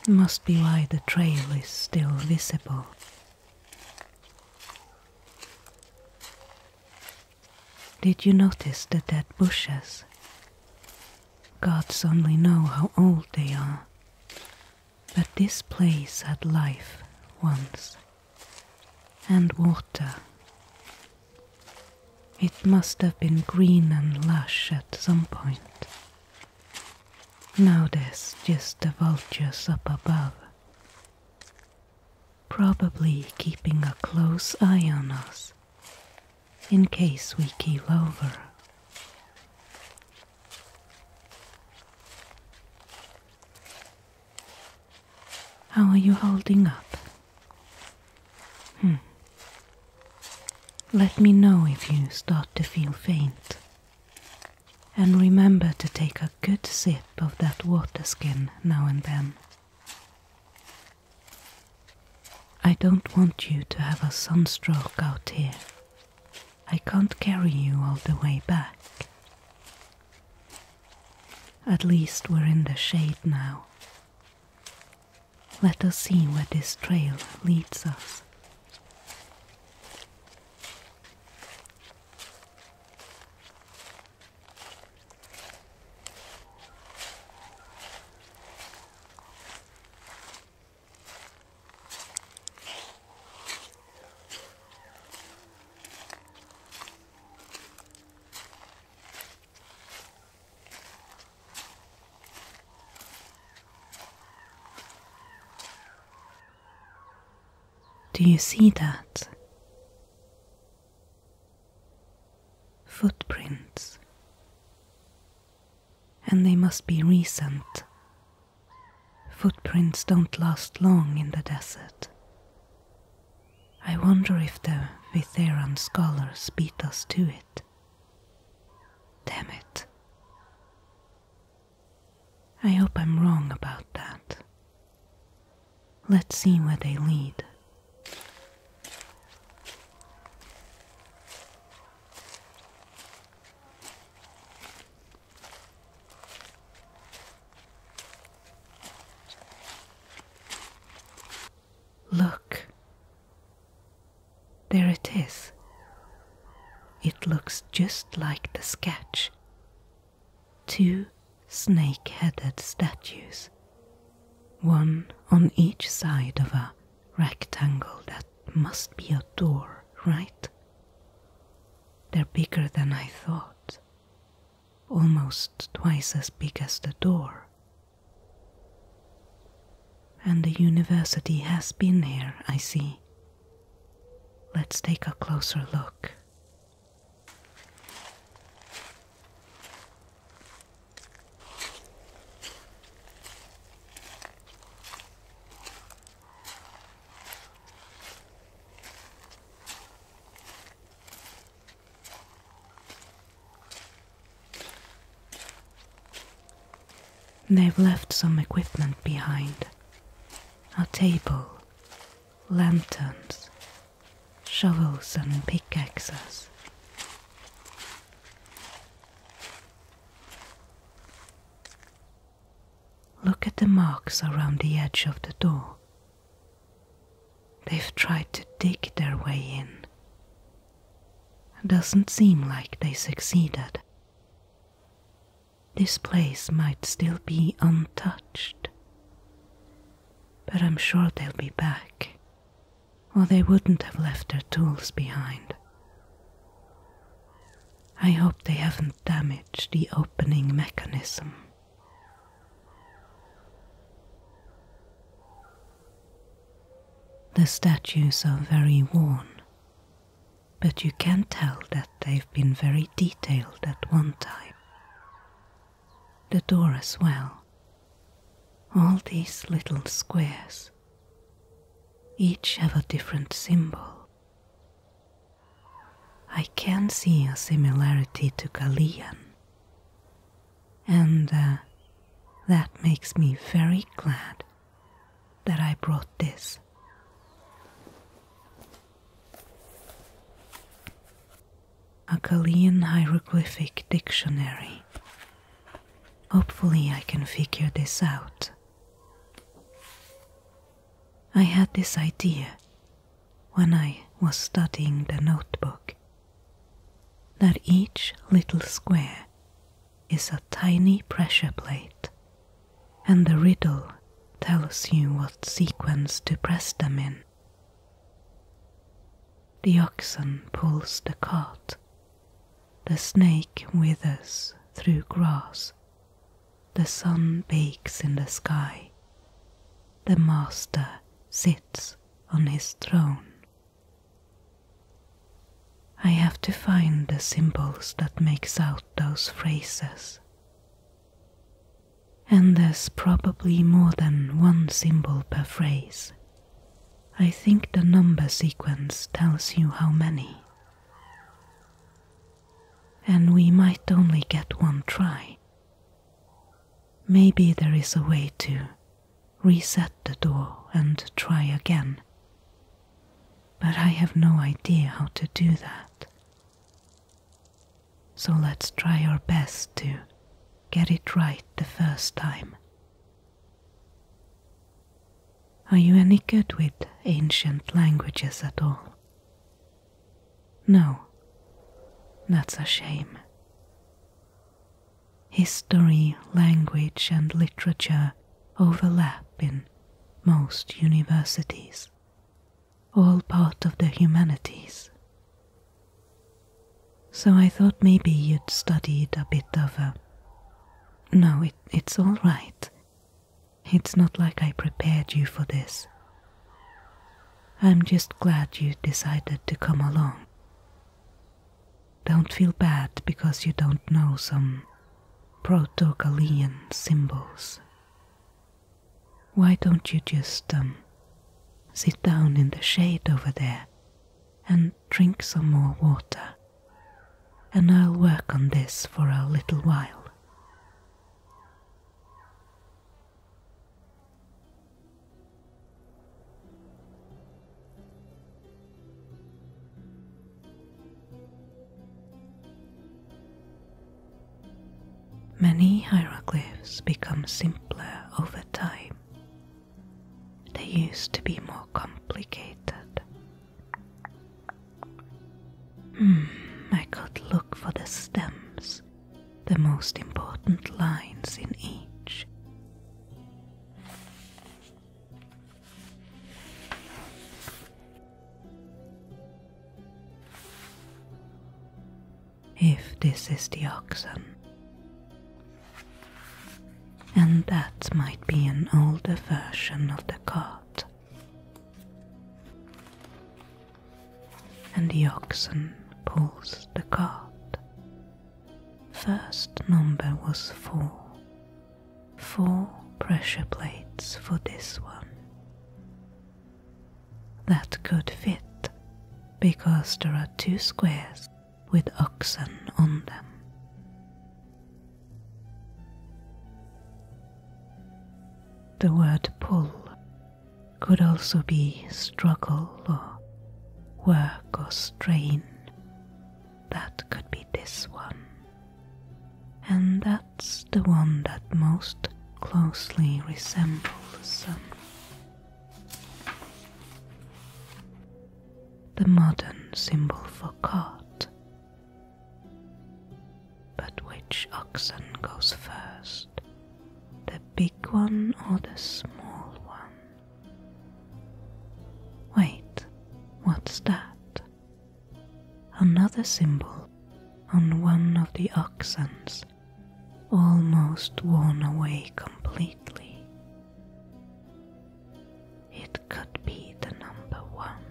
It must be why the trail is still visible. Did you notice the dead bushes? Gods only know how old they are. But this place had life once and water. It must have been green and lush at some point. Now there's just the vultures up above, probably keeping a close eye on us in case we keel over. How are you holding up? Hmm. Let me know if you start to feel faint. And remember to take a good sip of that water skin now and then. I don't want you to have a sunstroke out here. I can't carry you all the way back. At least we're in the shade now. Let us see where this trail leads us. Do you see that? Footprints. And they must be recent. Footprints don't last long in the desert. I wonder if the Vitheran scholars beat us to it. Damn it. I hope I'm wrong about that. Let's see where they lead. Look. There it is. It looks just like the sketch. Two snake headed statues, one on each side of a rectangle that must be a door, right? They're bigger than I thought almost twice as big as the door. And the university has been here, I see. Let's take a closer look. They've left some equipment behind a table, lanterns, shovels, and pickaxes. Look at the marks around the edge of the door They've tried to dig their way in. Doesn't seem like they succeeded. This place might still be untouched. But I'm sure they'll be back, or they wouldn't have left their tools behind. I hope they haven't damaged the opening mechanism. The statues are very worn, but you can tell that they've been very detailed at one time. The door as well. All these little squares, each have a different symbol. I can see a similarity to Galian, and uh, that makes me very glad that I brought this. A Kalian hieroglyphic dictionary. Hopefully, I can figure this out. I had this idea when I was studying the notebook that each little square is a tiny pressure plate, and the riddle tells you what sequence to press them in. The oxen pulls the cart, the snake withers through grass, the sun bakes in the sky, the master sits on his throne. I have to find the symbols that makes out those phrases. And there's probably more than one symbol per phrase. I think the number sequence tells you how many. And we might only get one try. Maybe there is a way to reset the door and try again. But I have no idea how to do that. So let's try our best to get it right the first time. Are you any good with ancient languages at all? No, that's a shame. History, language, and literature overlap in most universities, all part of the humanities. So I thought maybe you'd studied a bit of a. No, it's all right. It's not like I prepared you for this. I'm just glad you decided to come along. Don't feel bad because you don't know some Proto Galilean symbols. Why don't you just um, sit down in the shade over there and drink some more water? And I'll work on this for a little while. Many hieroglyphs become simpler over time. They used to be more complicated. Hmm, I could look for the stems the most important lines in each. If this is the oxen, and that might be an older version of the cart. And the oxen pulls the cart. First number was four. Four pressure plates for this one. That could fit because there are two squares with oxen on them. The word pull could also be struggle or work or strain. That could be this one. And that's the one that most closely resembles the sun. The modern symbol for cart, but which oxen goes first, the big one or the small one? Wait, what's that? Another symbol on one of the oxens, almost worn away completely. It could be the number one.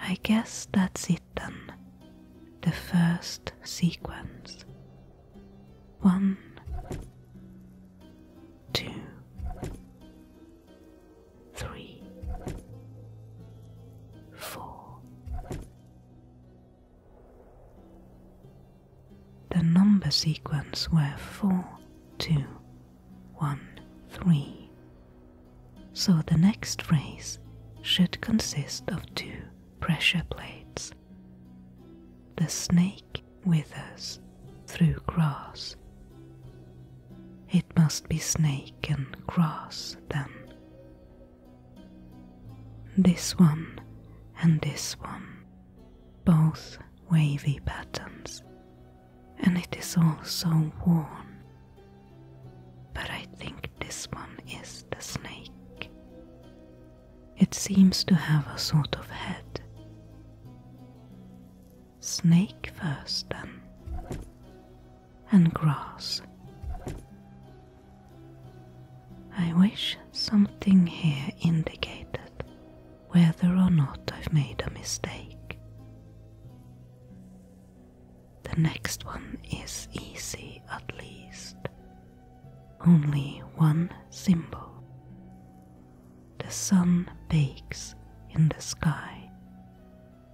I guess that's it then. The first sequence one, two, three, four. The number sequence were four, two, one, three. So the next phrase should consist of two pressure plates. The snake withers through grass. It must be snake and grass then. This one and this one, both wavy patterns, and it is all so worn. But I think this one is the snake. It seems to have a sort of head. Snake first, then, and grass. I wish something here indicated whether or not I've made a mistake. The next one is easy, at least. Only one symbol. The sun bakes in the sky,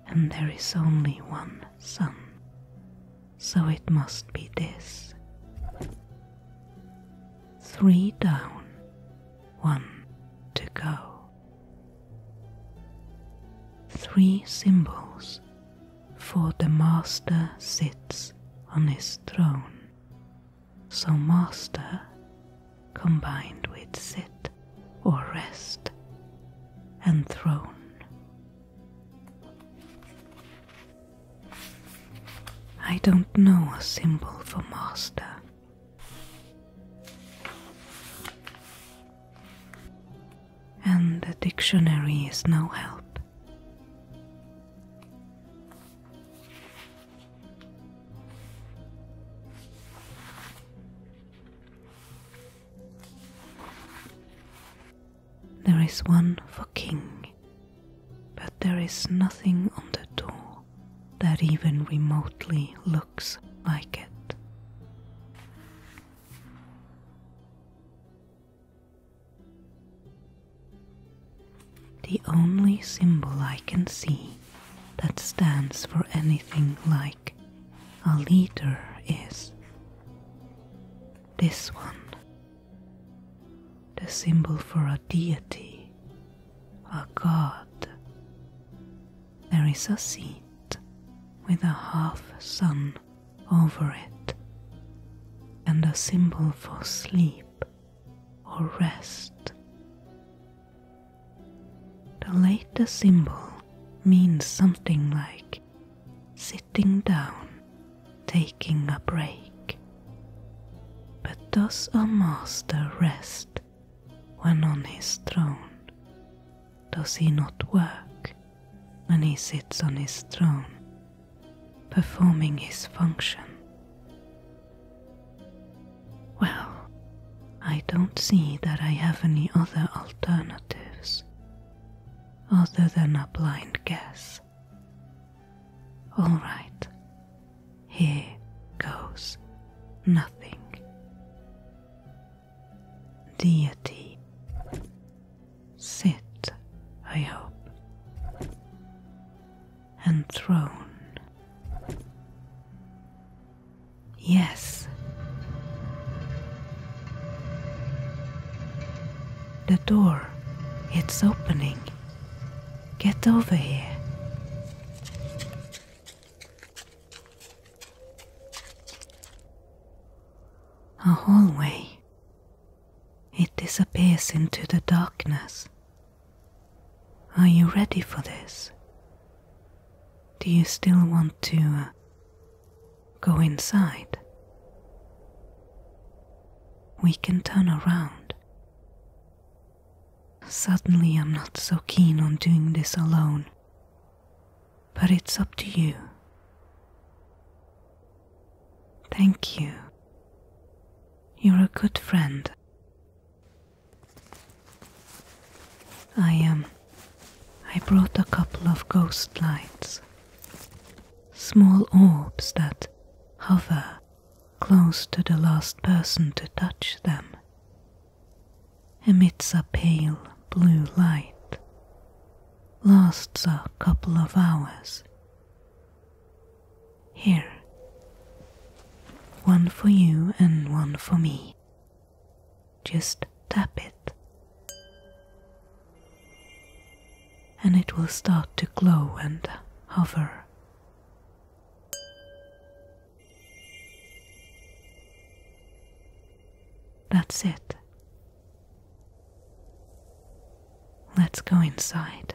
and there is only one sun, so it must be this. Three down, one to go. Three symbols for the master sits on his throne. So, master combined with sit or rest and throne. I don't know a symbol for master. And the dictionary is no help. There is one for king, but there is nothing on the door that even remotely looks like it. The only symbol I can see that stands for anything like a leader is this one, the symbol for a deity, a god. There is a seat with a half sun over it, and a symbol for sleep or rest. The later symbol means something like sitting down, taking a break. But does a master rest when on his throne? Does he not work when he sits on his throne performing his function. Well, I don't see that I have any other alternatives other than a blind guess. All right, here goes nothing. Deity. Sit, I hope. And throne. Yes. The door, it's opening. Get over here. A hallway. It disappears into the darkness. Are you ready for this? Do you still want to uh, go inside? We can turn around. Suddenly, I'm not so keen on doing this alone, but it's up to you. Thank you. You're a good friend. I um I brought a couple of ghost lights. Small orbs that hover close to the last person to touch them. Emits a pale blue light. Lasts a couple of hours. Here. One for you and one for me. Just tap it. And it will start to glow and hover. That's it. Let's go inside.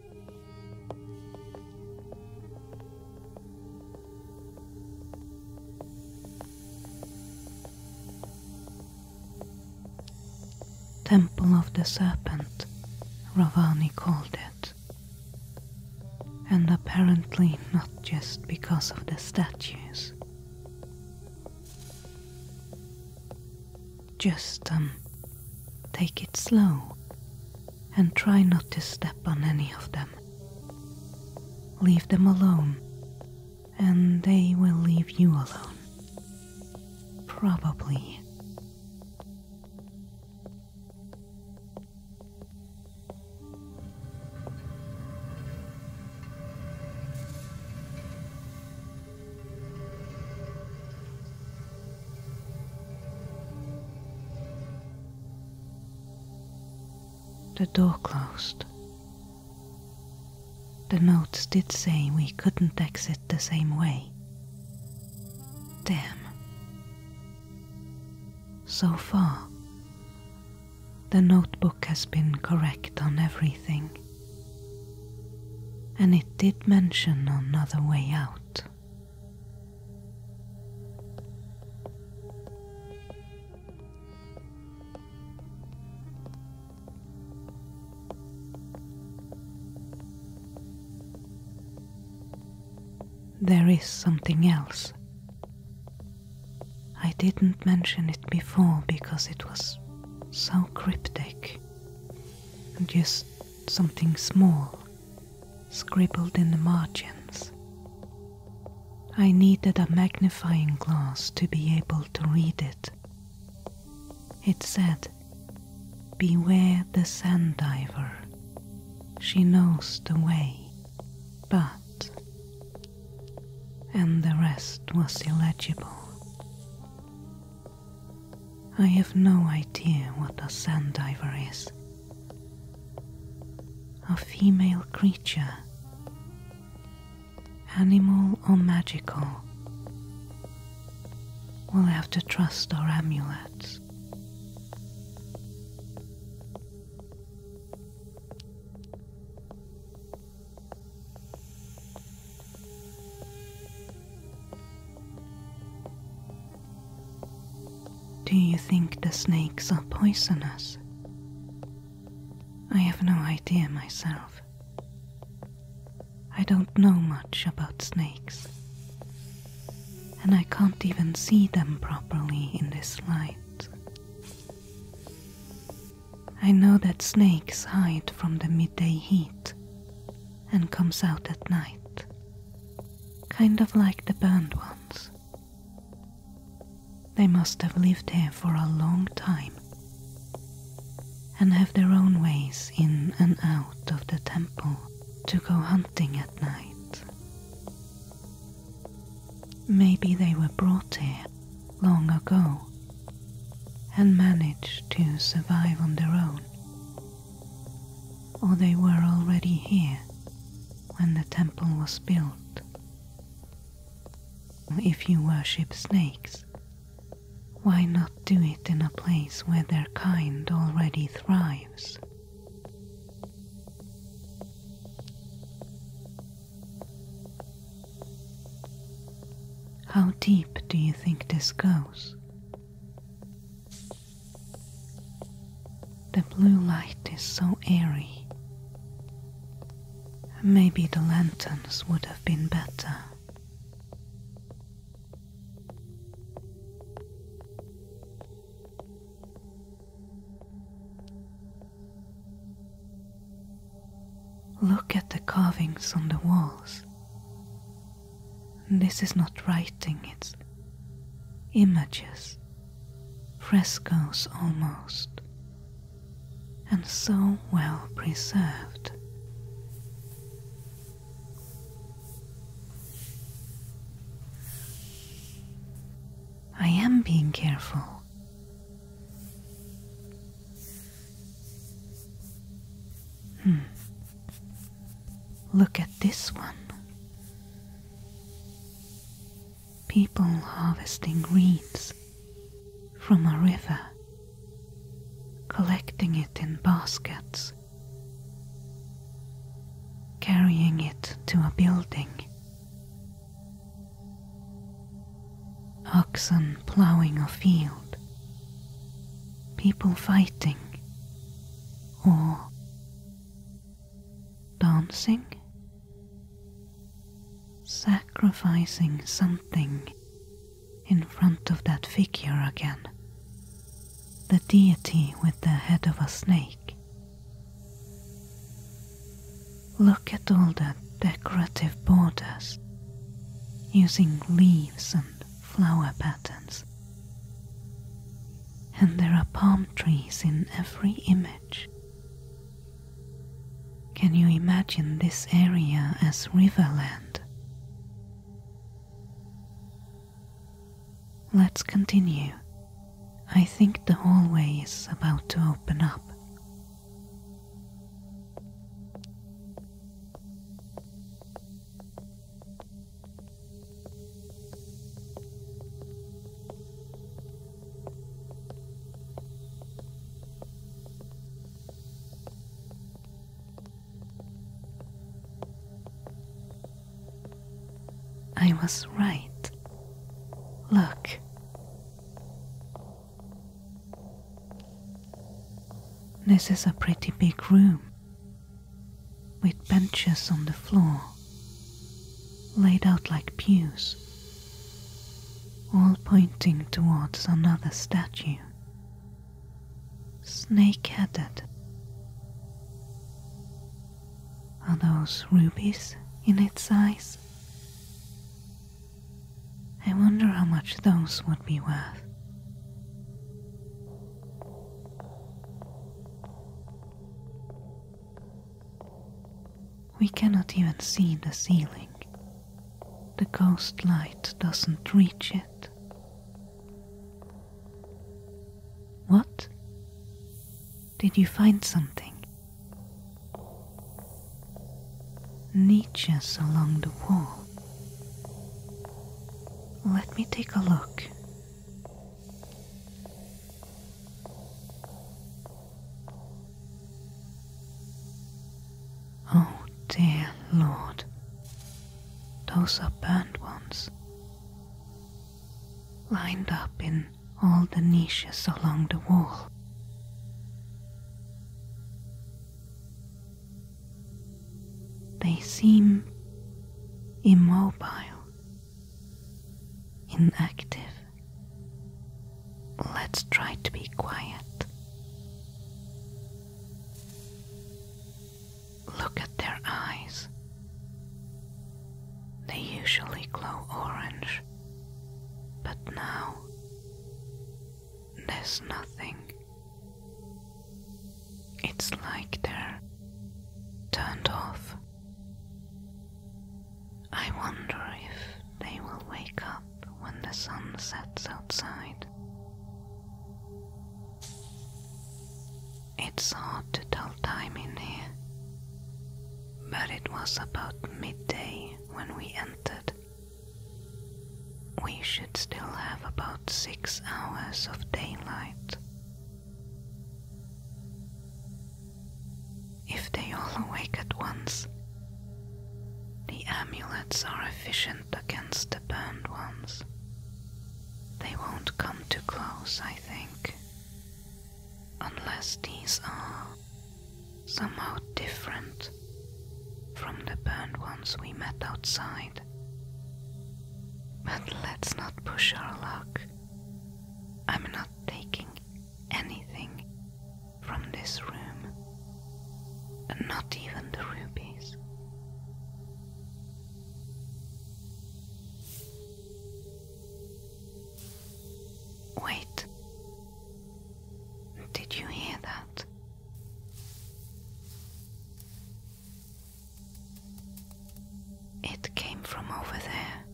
Temple of the Serpent, Ravani called it. And apparently not just because of the statues. Just an um, Take it slow and try not to step on any of them. Leave them alone, and they will leave you alone. Probably. The door closed. The notes did say we couldn't exit the same way. Damn. So far, the notebook has been correct on everything. And it did mention another way out. There is something else. I didn't mention it before because it was so cryptic. and Just something small scribbled in the margins. I needed a magnifying glass to be able to read it. It said, Beware the sand diver. She knows the way, but. And the rest was illegible. I have no idea what a sand diver is. A female creature, animal or magical. We'll have to trust our amulets. Do you think the snakes are poisonous? I have no idea myself. I don't know much about snakes, and I can't even see them properly in this light. I know that snakes hide from the midday heat and comes out at night kind of like the burned ones. They must have lived here for a long time and have their own ways in and out of the temple to go hunting at night. Maybe they were brought here long ago and managed to survive on their own or they were already here when the temple was built. If you worship snakes, why not do it in a place where their kind already thrives? How deep do you think this goes? The blue light is so eerie. Maybe the lanterns would have been better. Look at the carvings on the walls this is not writing, it's images, frescoes almost, and so well preserved. I am being careful. Hmm. Look at this one. People harvesting reeds from a river, collecting it in baskets, carrying it to a building. Oxen ploughing a field, people fighting, or dancing, sacrificing something in front of that figure again, the deity with the head of a snake. Look at all the decorative borders using leaves and flower patterns and there are palm trees in every image. Can you imagine this area as riverland? Let's continue. I think the hallway is about to open up. I was right. Look. This is a pretty big room, with benches on the floor laid out like pews, all pointing towards another statue, snake headed. Are those rubies in its eyes? I wonder how much those would be worth. We cannot even see the ceiling. The ghost light doesn't reach it. What? Did you find something? Niches along the wall. Let me take a look. Oh, dear Lord, those are burnt ones, lined up in all the niches along the wall. They seem immobile inactive. Let's try to be quiet. Look at their eyes. They usually glow orange, but now there's nothing. It's like they're turned off. I wonder if they will wake up when the sun sets outside. It's hard to tell time in here, but it was about midday when we entered. We should still have about six hours of daylight if they all awake at once, the amulets are efficient against the burned ones. They won't come too close, I think. Unless these are somehow different from the burned ones we met outside. But let's not push our luck. I'm not taking anything from this room, not even the rubies. Wait, did you hear that? It came from over there.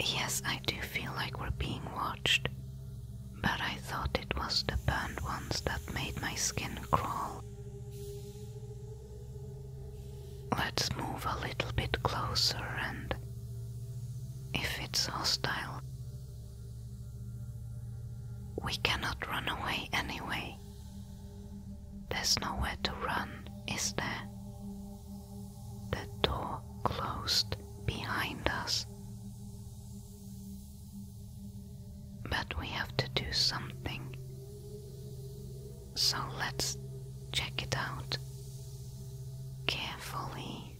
Yes, I do feel like we're being watched, but I thought it was the burned ones that made my skin crawl. Let's move a little bit closer, and if it's hostile, we cannot run away anyway. There's nowhere to run, is there? The door closed behind us. But we have to do something. So let's check it out carefully.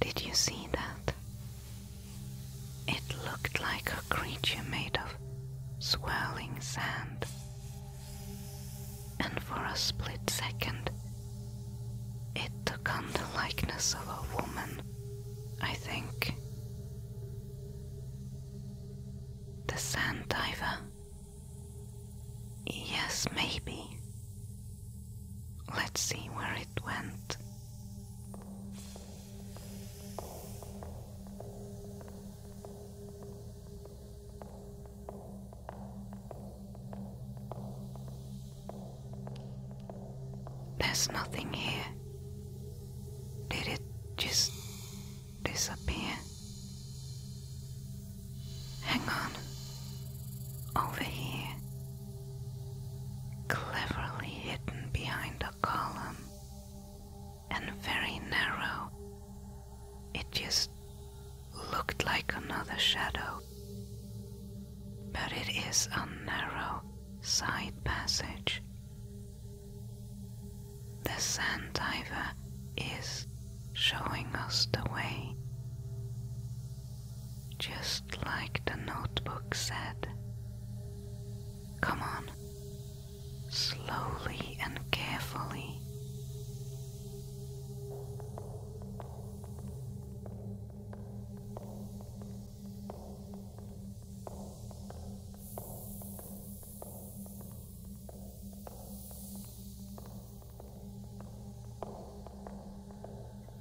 Did you see that? It looked like a creature made of swirling sand and for a split second, it took on the likeness of a woman, I think. The sand diver. Yes, maybe. Let's see where it went. There's nothing here. Did it just disappear? Hang on. Over here. Cleverly hidden behind a column and very narrow. It just looked like another shadow. But it is a narrow side passage. The sand diver is showing us the way. Just like the notebook said. Come on, slowly and carefully.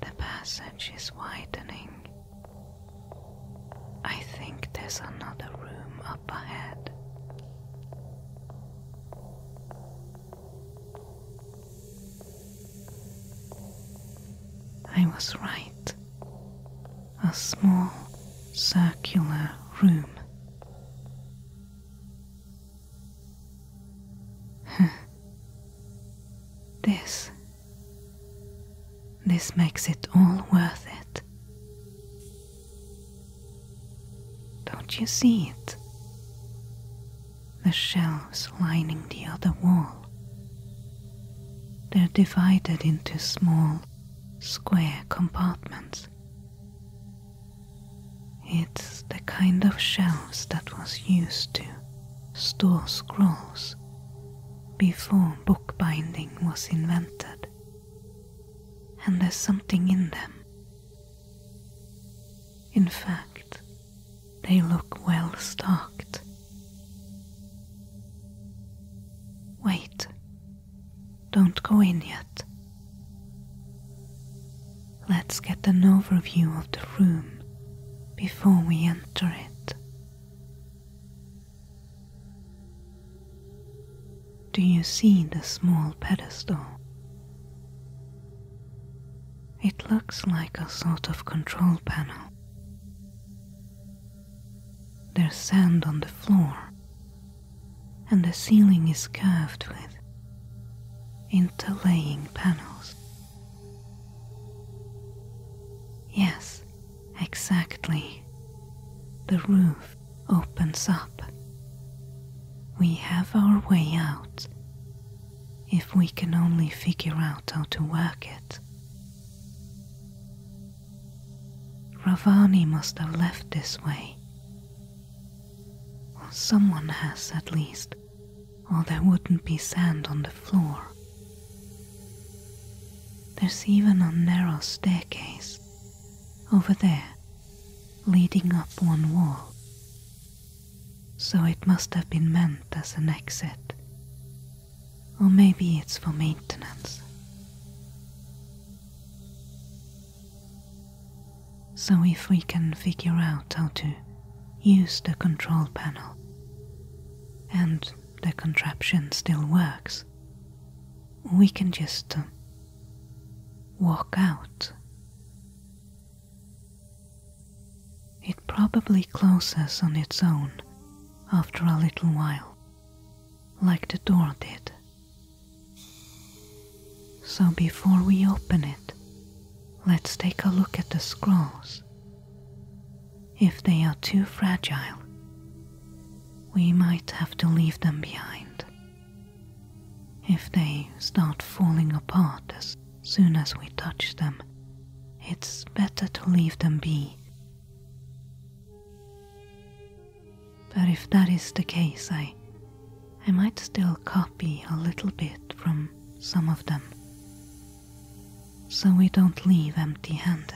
The passage is widening. I think there's another room up I was right. A small circular room. *laughs* this. This makes it all worth it. Don't you see it? The shelves lining the other wall. They're divided into small, square compartments. It's the kind of shelves that was used to store scrolls before bookbinding was invented, and there's something in them in fact, they look well stocked. Wait, don't go in yet. Let's get an overview of the room before we enter it. Do you see the small pedestal? It looks like a sort of control panel. There's sand on the floor, and the ceiling is curved with interlaying panels. Yes, exactly. The roof opens up. We have our way out if we can only figure out how to work it. Ravani must have left this way. Or someone has at least, or there wouldn't be sand on the floor. There's even a narrow staircase over there leading up one wall, so it must have been meant as an exit. Or maybe it's for maintenance. So, if we can figure out how to use the control panel and the contraption still works, we can just uh, walk out. It probably closes on its own after a little while, like the door did. So before we open it, let's take a look at the scrolls. If they are too fragile, we might have to leave them behind. If they start falling apart as soon as we touch them, it's better to leave them be. But if that is the case, I, I might still copy a little bit from some of them, so we don't leave empty handed.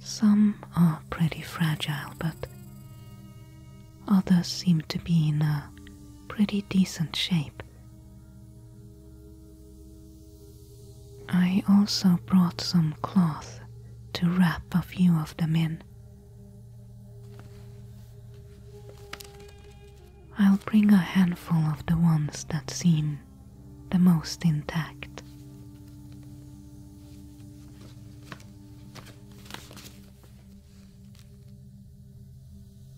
Some are pretty fragile, but others seem to be in a pretty decent shape. I also brought some cloth to wrap a few of them in. I'll bring a handful of the ones that seem the most intact.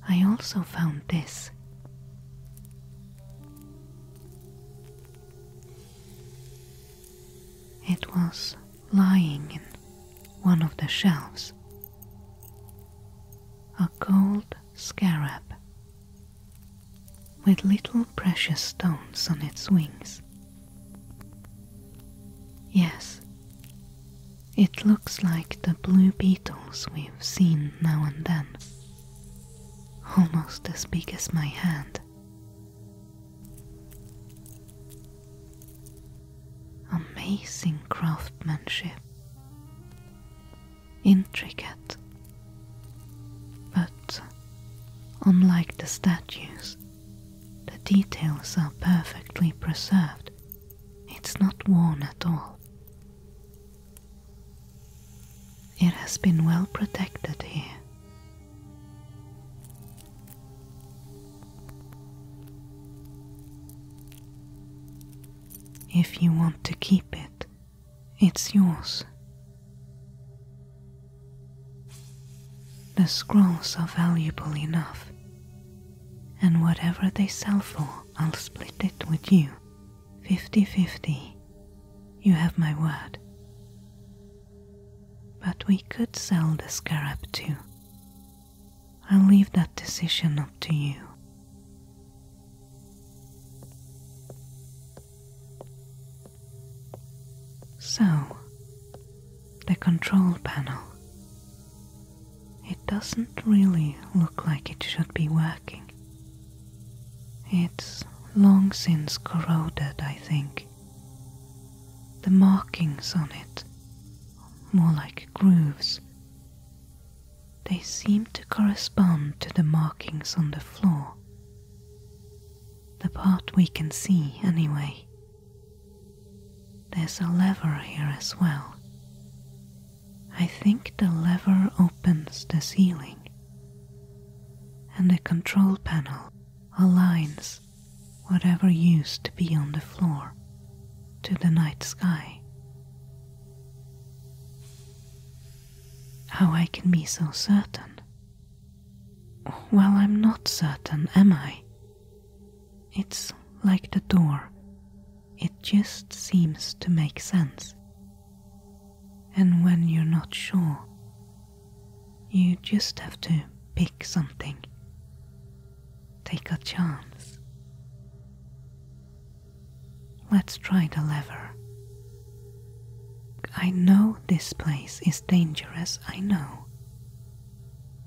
I also found this. It was lying in one of the shelves. A gold scarab with little precious stones on its wings Yes, it looks like the blue beetles we've seen now and then, almost as big as my hand. Amazing craftsmanship, intricate, but unlike the statues, the details are perfectly preserved. It's not worn at all. It has been well protected here. If you want to keep it, it's yours. The scrolls are valuable enough, and whatever they sell for, I'll split it with you. fifty-fifty. You have my word. But we could sell the scarab too. I'll leave that decision up to you. So, the control panel. It doesn't really look like it should be working. It's long since corroded, I think. The markings on it, more like grooves, they seem to correspond to the markings on the floor. The part we can see, anyway. There's a lever here as well. I think the lever opens the ceiling, and the control panel aligns whatever used to be on the floor to the night sky. How I can be so certain? Well, I'm not certain, am I? It's like the door, it just seems to make sense. And when you're not sure, you just have to pick something. Take a chance. Let's try the lever. I know this place is dangerous, I know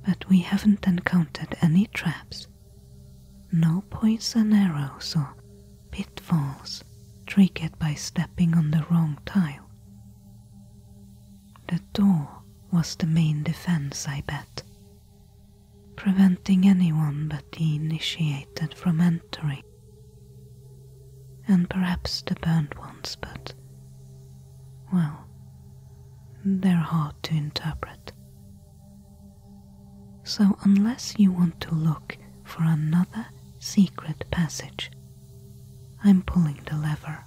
but we haven't encountered any traps. No poison arrows or pitfalls triggered by stepping on the wrong tile. The door was the main defense, I bet, preventing anyone but the initiated from entering. And perhaps the burnt ones, but. well, they're hard to interpret. So, unless you want to look for another secret passage, I'm pulling the lever.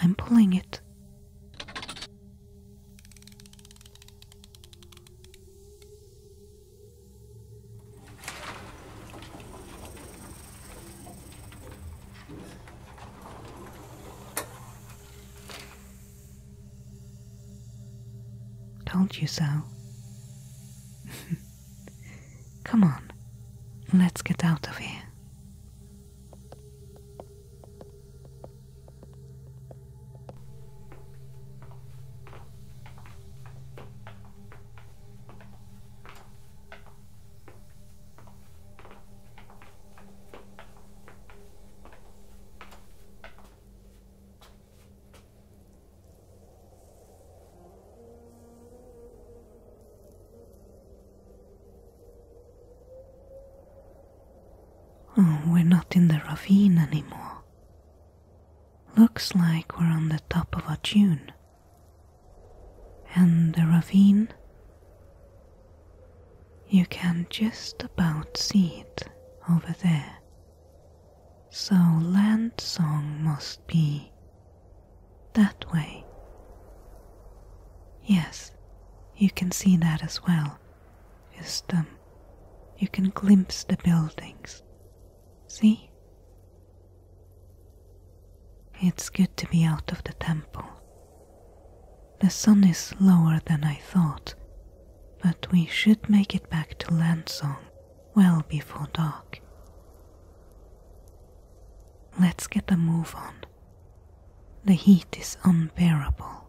I'm pulling it. Told you so. *laughs* Come on, let's get out of here. Oh, we're not in the ravine anymore. Looks like we're on the top of a dune. And the ravine you can just about see it over there. So land song must be that way. Yes, you can see that as well. Just um, you can glimpse the buildings. See? It's good to be out of the temple. The sun is lower than I thought, but we should make it back to Landsong well before dark. Let's get a move on. The heat is unbearable.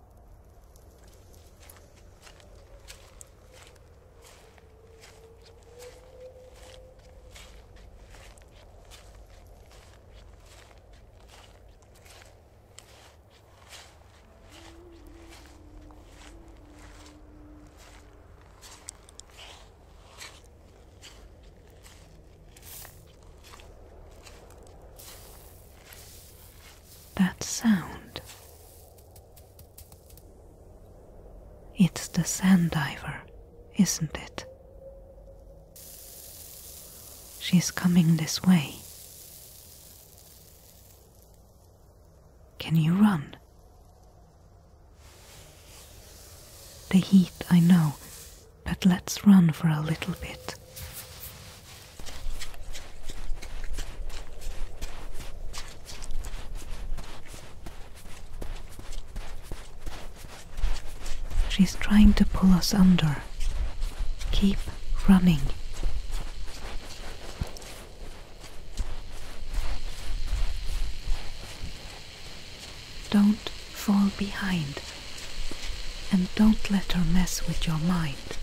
That sound. It's the sand diver, isn't it? She is coming this way. Can you run? The heat, I know, but let's run for a little bit. She's trying to pull us under. Keep running. Don't fall behind. And don't let her mess with your mind.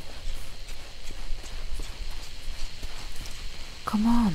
Come on.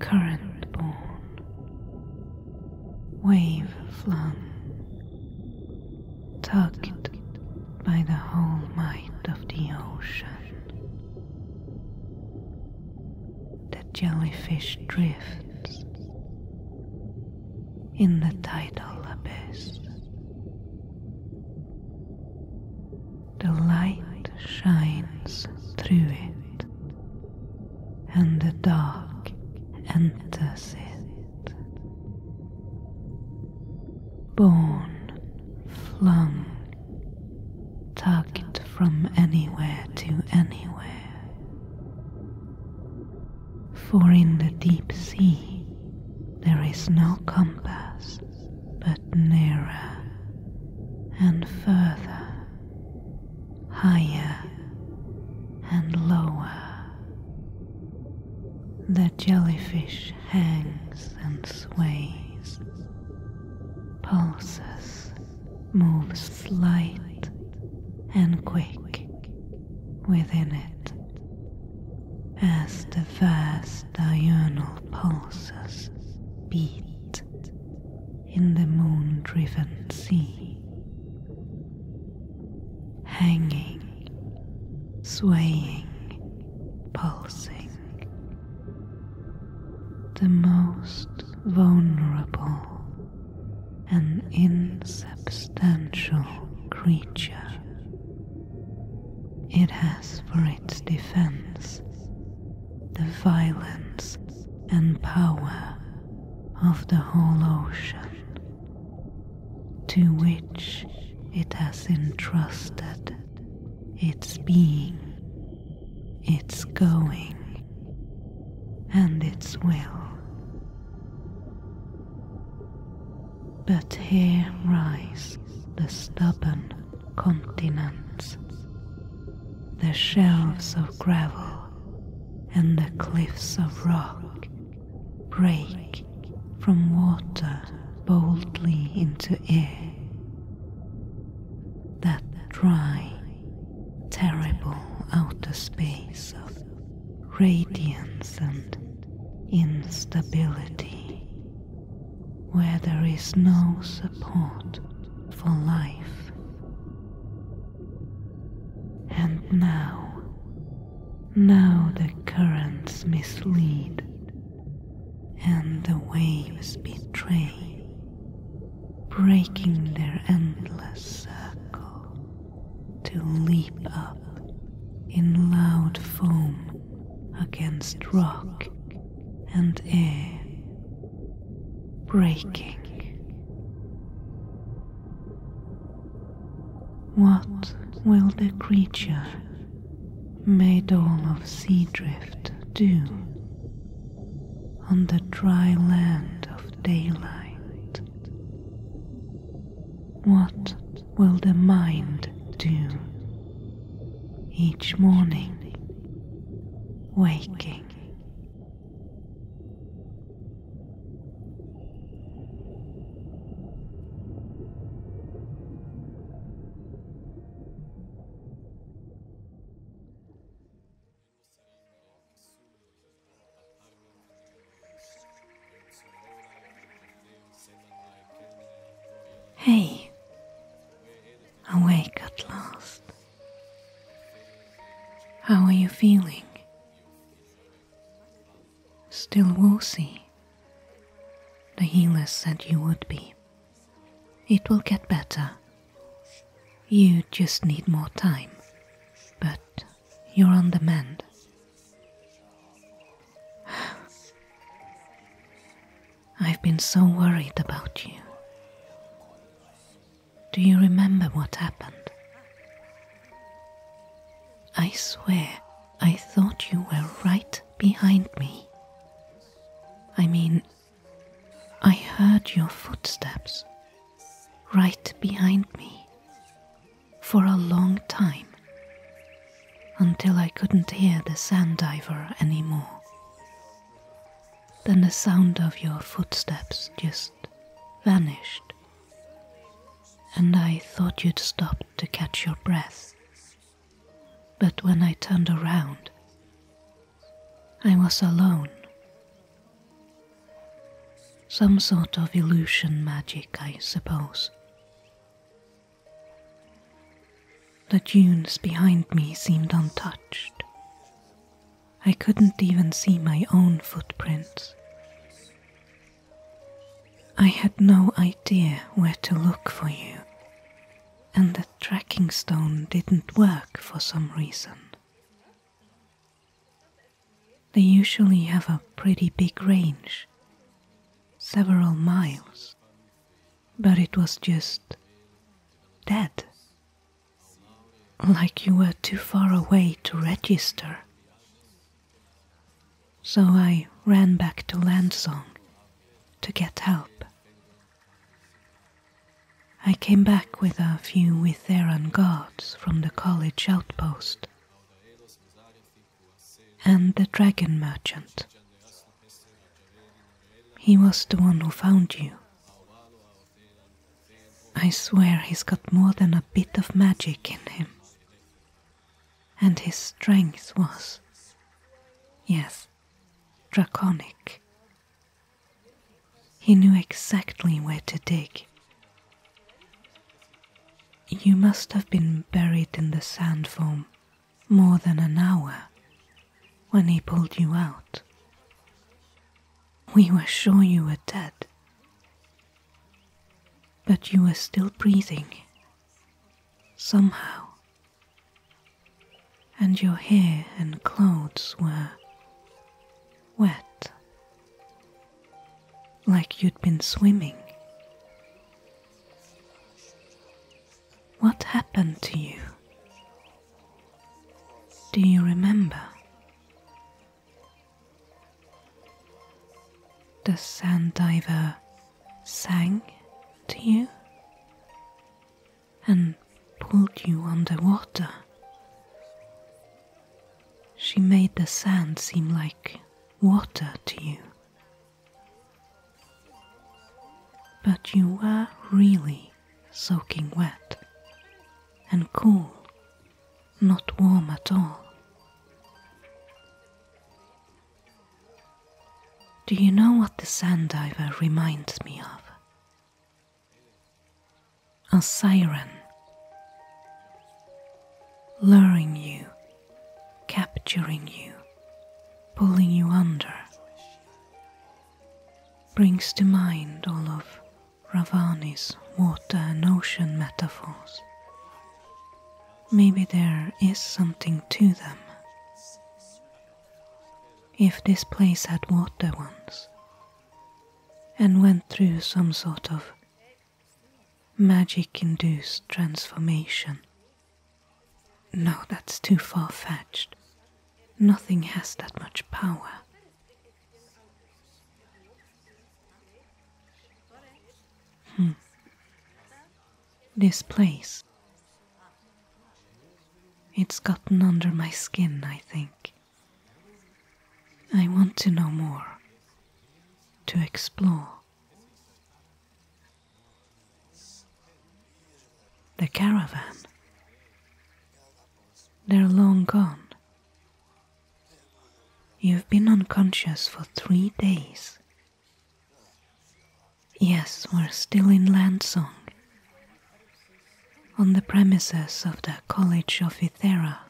current born, wave flung, tugged by the whole might of the ocean. The jellyfish drifts, in the tidal abyss. The light shines through it, and the dark enters it. Born, flung, tugged from anywhere to anywhere. For in the deep sea there is no compass, but nearer and further, higher and lower. The jellyfish hangs and sways, pulses, moves slight and quick within it as the vast diurnal pulses beat in the moon driven sea, hanging, swaying, pulsing. The most vulnerable and insubstantial creature it has for its defense the violence and power of the whole ocean, to which it has entrusted its being, its going, and its will. But here rise the stubborn continents, the shelves of gravel and the cliffs of rock break from water boldly into air. That dry, terrible outer space of radiance and instability, where there is no support for life. And now, now the currents mislead and the waves betray, breaking their endless circle to leap up in loud foam against rock and air, breaking. What will the creature made all of sea drift do on the dry land of daylight? What will the mind do each morning waking? Hey, awake at last. How are you feeling? Still woozy? The healer said you would be. It will get better. You just need more time. But you're on the mend, I've been so worried about you. Do you remember what happened? I swear I thought you were right behind me. I mean, I heard your footsteps right behind me for a long time until I couldn't hear the sand diver anymore. Then the sound of your footsteps just vanished, and I thought you'd stopped to catch your breath. But when I turned around, I was alone. Some sort of illusion magic, I suppose. The dunes behind me seemed untouched. I couldn't even see my own footprints. I had no idea where to look for you, and the tracking stone didn't work for some reason. They usually have a pretty big range, several miles, but it was just dead. Like you were too far away to register. So I ran back to Landsong to get help. I came back with a few Witheran guards from the college outpost and the dragon merchant. He was the one who found you. I swear he's got more than a bit of magic in him. And his strength was, yes, draconic. He knew exactly where to dig. You must have been buried in the sand foam more than an hour when he pulled you out. We were sure you were dead, but you were still breathing somehow, and your hair and clothes were wet, like you'd been swimming what happened to you? Do you remember? The sand diver sang to you and pulled you underwater. She made the sand seem like water to you. But you were really soaking wet and cool, not warm at all. Do you know what the sand diver reminds me of? A siren luring you capturing you, pulling you under, brings to mind all of Ravani's water and ocean metaphors. Maybe there is something to them. If this place had water once and went through some sort of magic induced transformation. No, that's too far fetched. Nothing has that much power. Hmm. This place. It's gotten under my skin, I think. I want to know more, to explore. The caravan. They're long gone. You've been unconscious for three days. Yes, we're still in Landsong, on the premises of the College of Ithera.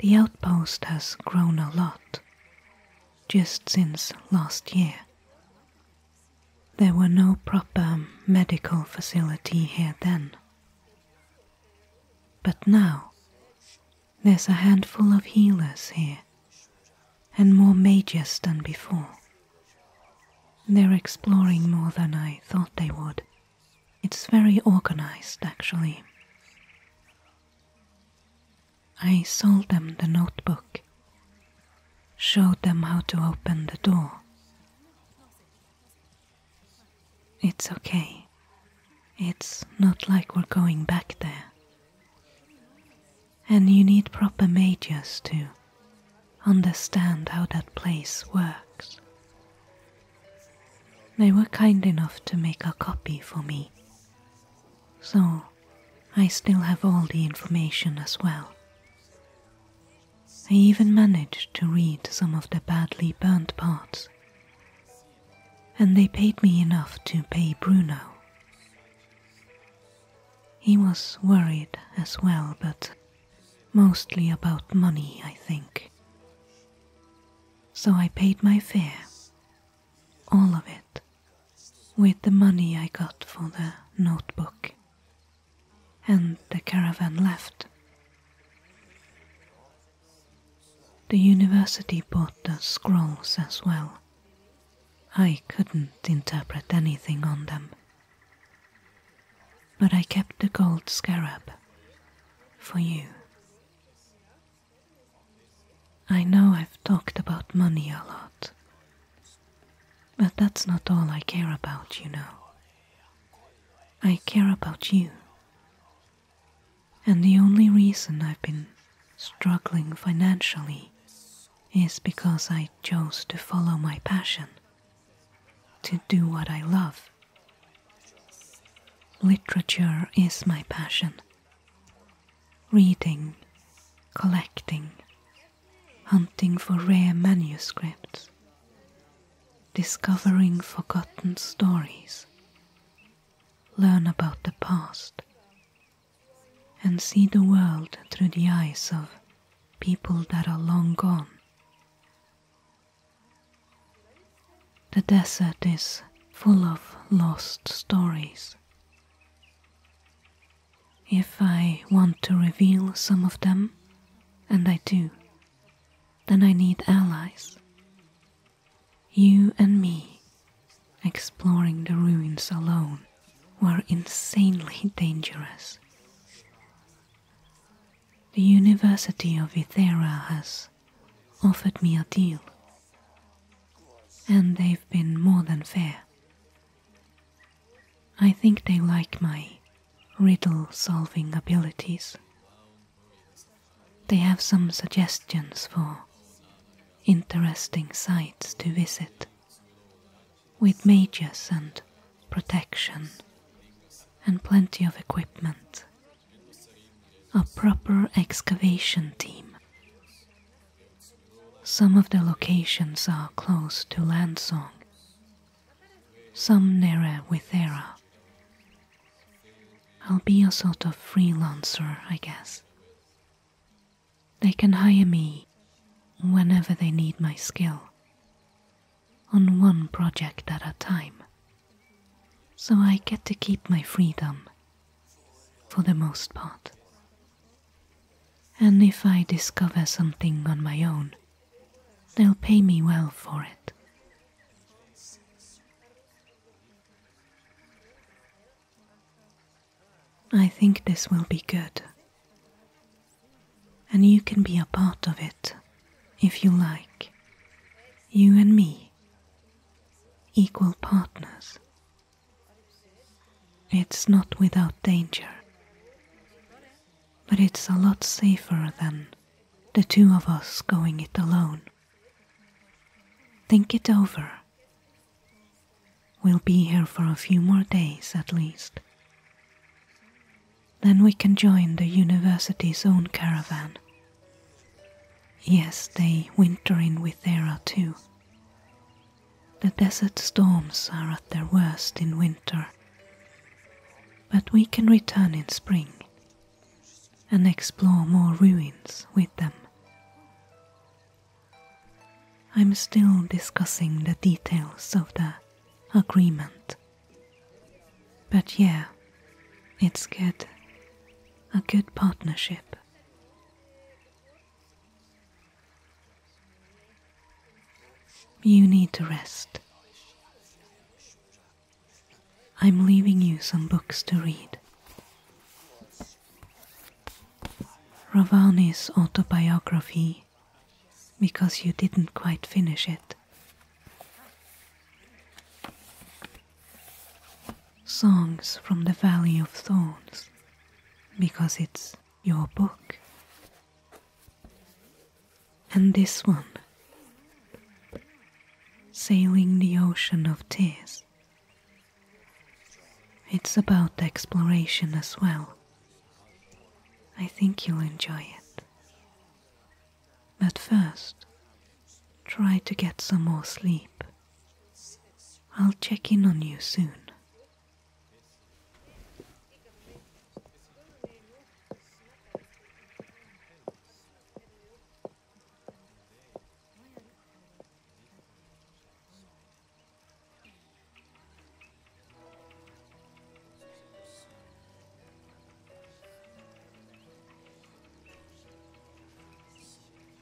The outpost has grown a lot just since last year. There were no proper medical facility here then. But now, there's a handful of healers here, and more mages than before. They're exploring more than I thought they would. It's very organized, actually. I sold them the notebook, showed them how to open the door. It's okay. It's not like we're going back there. And you need proper mages to understand how that place works. They were kind enough to make a copy for me so I still have all the information as well. I even managed to read some of the badly burnt parts, and they paid me enough to pay Bruno. He was worried as well, but mostly about money, I think. So I paid my fare, all of it with the money I got for the notebook, and the caravan left. The university bought the scrolls as well. I couldn't interpret anything on them. But I kept the gold scarab for you. I know I've talked about money a lot, but that's not all I care about, you know. I care about you. And the only reason I've been struggling financially is because I chose to follow my passion, to do what I love. Literature is my passion, reading, collecting, hunting for rare manuscripts, discovering forgotten stories, learn about the past, and see the world through the eyes of people that are long gone. The desert is full of lost stories if I want to reveal some of them, and I do, then I need allies. You and me, exploring the ruins alone, were insanely *laughs* dangerous. The University of Ithera has offered me a deal and they've been more than fair. I think they like my riddle solving abilities. They have some suggestions for interesting sites to visit with mages and protection and plenty of equipment. A proper excavation team some of the locations are close to Landsong, some nearer Withera. I'll be a sort of freelancer, I guess. They can hire me whenever they need my skill, on one project at a time. So I get to keep my freedom for the most part. And if I discover something on my own, they'll pay me well for it. I think this will be good. And you can be a part of it if you like. You and me, equal partners it's not without danger, but it's a lot safer than the two of us going it alone. Think it over. We'll be here for a few more days at least. Then we can join the university's own caravan. Yes, they winter in Withera too, the desert storms are at their worst in winter, but we can return in spring and explore more ruins with them. I'm still discussing the details of the agreement. But yeah, it's good. A good partnership. You need to rest. I'm leaving you some books to read. Ravani's autobiography, because you didn't quite finish it. Songs from the Valley of Thorns because it's your book. And this one Sailing the Ocean of Tears. It's about exploration as well. I think you'll enjoy it. But first, try to get some more sleep. I'll check in on you soon.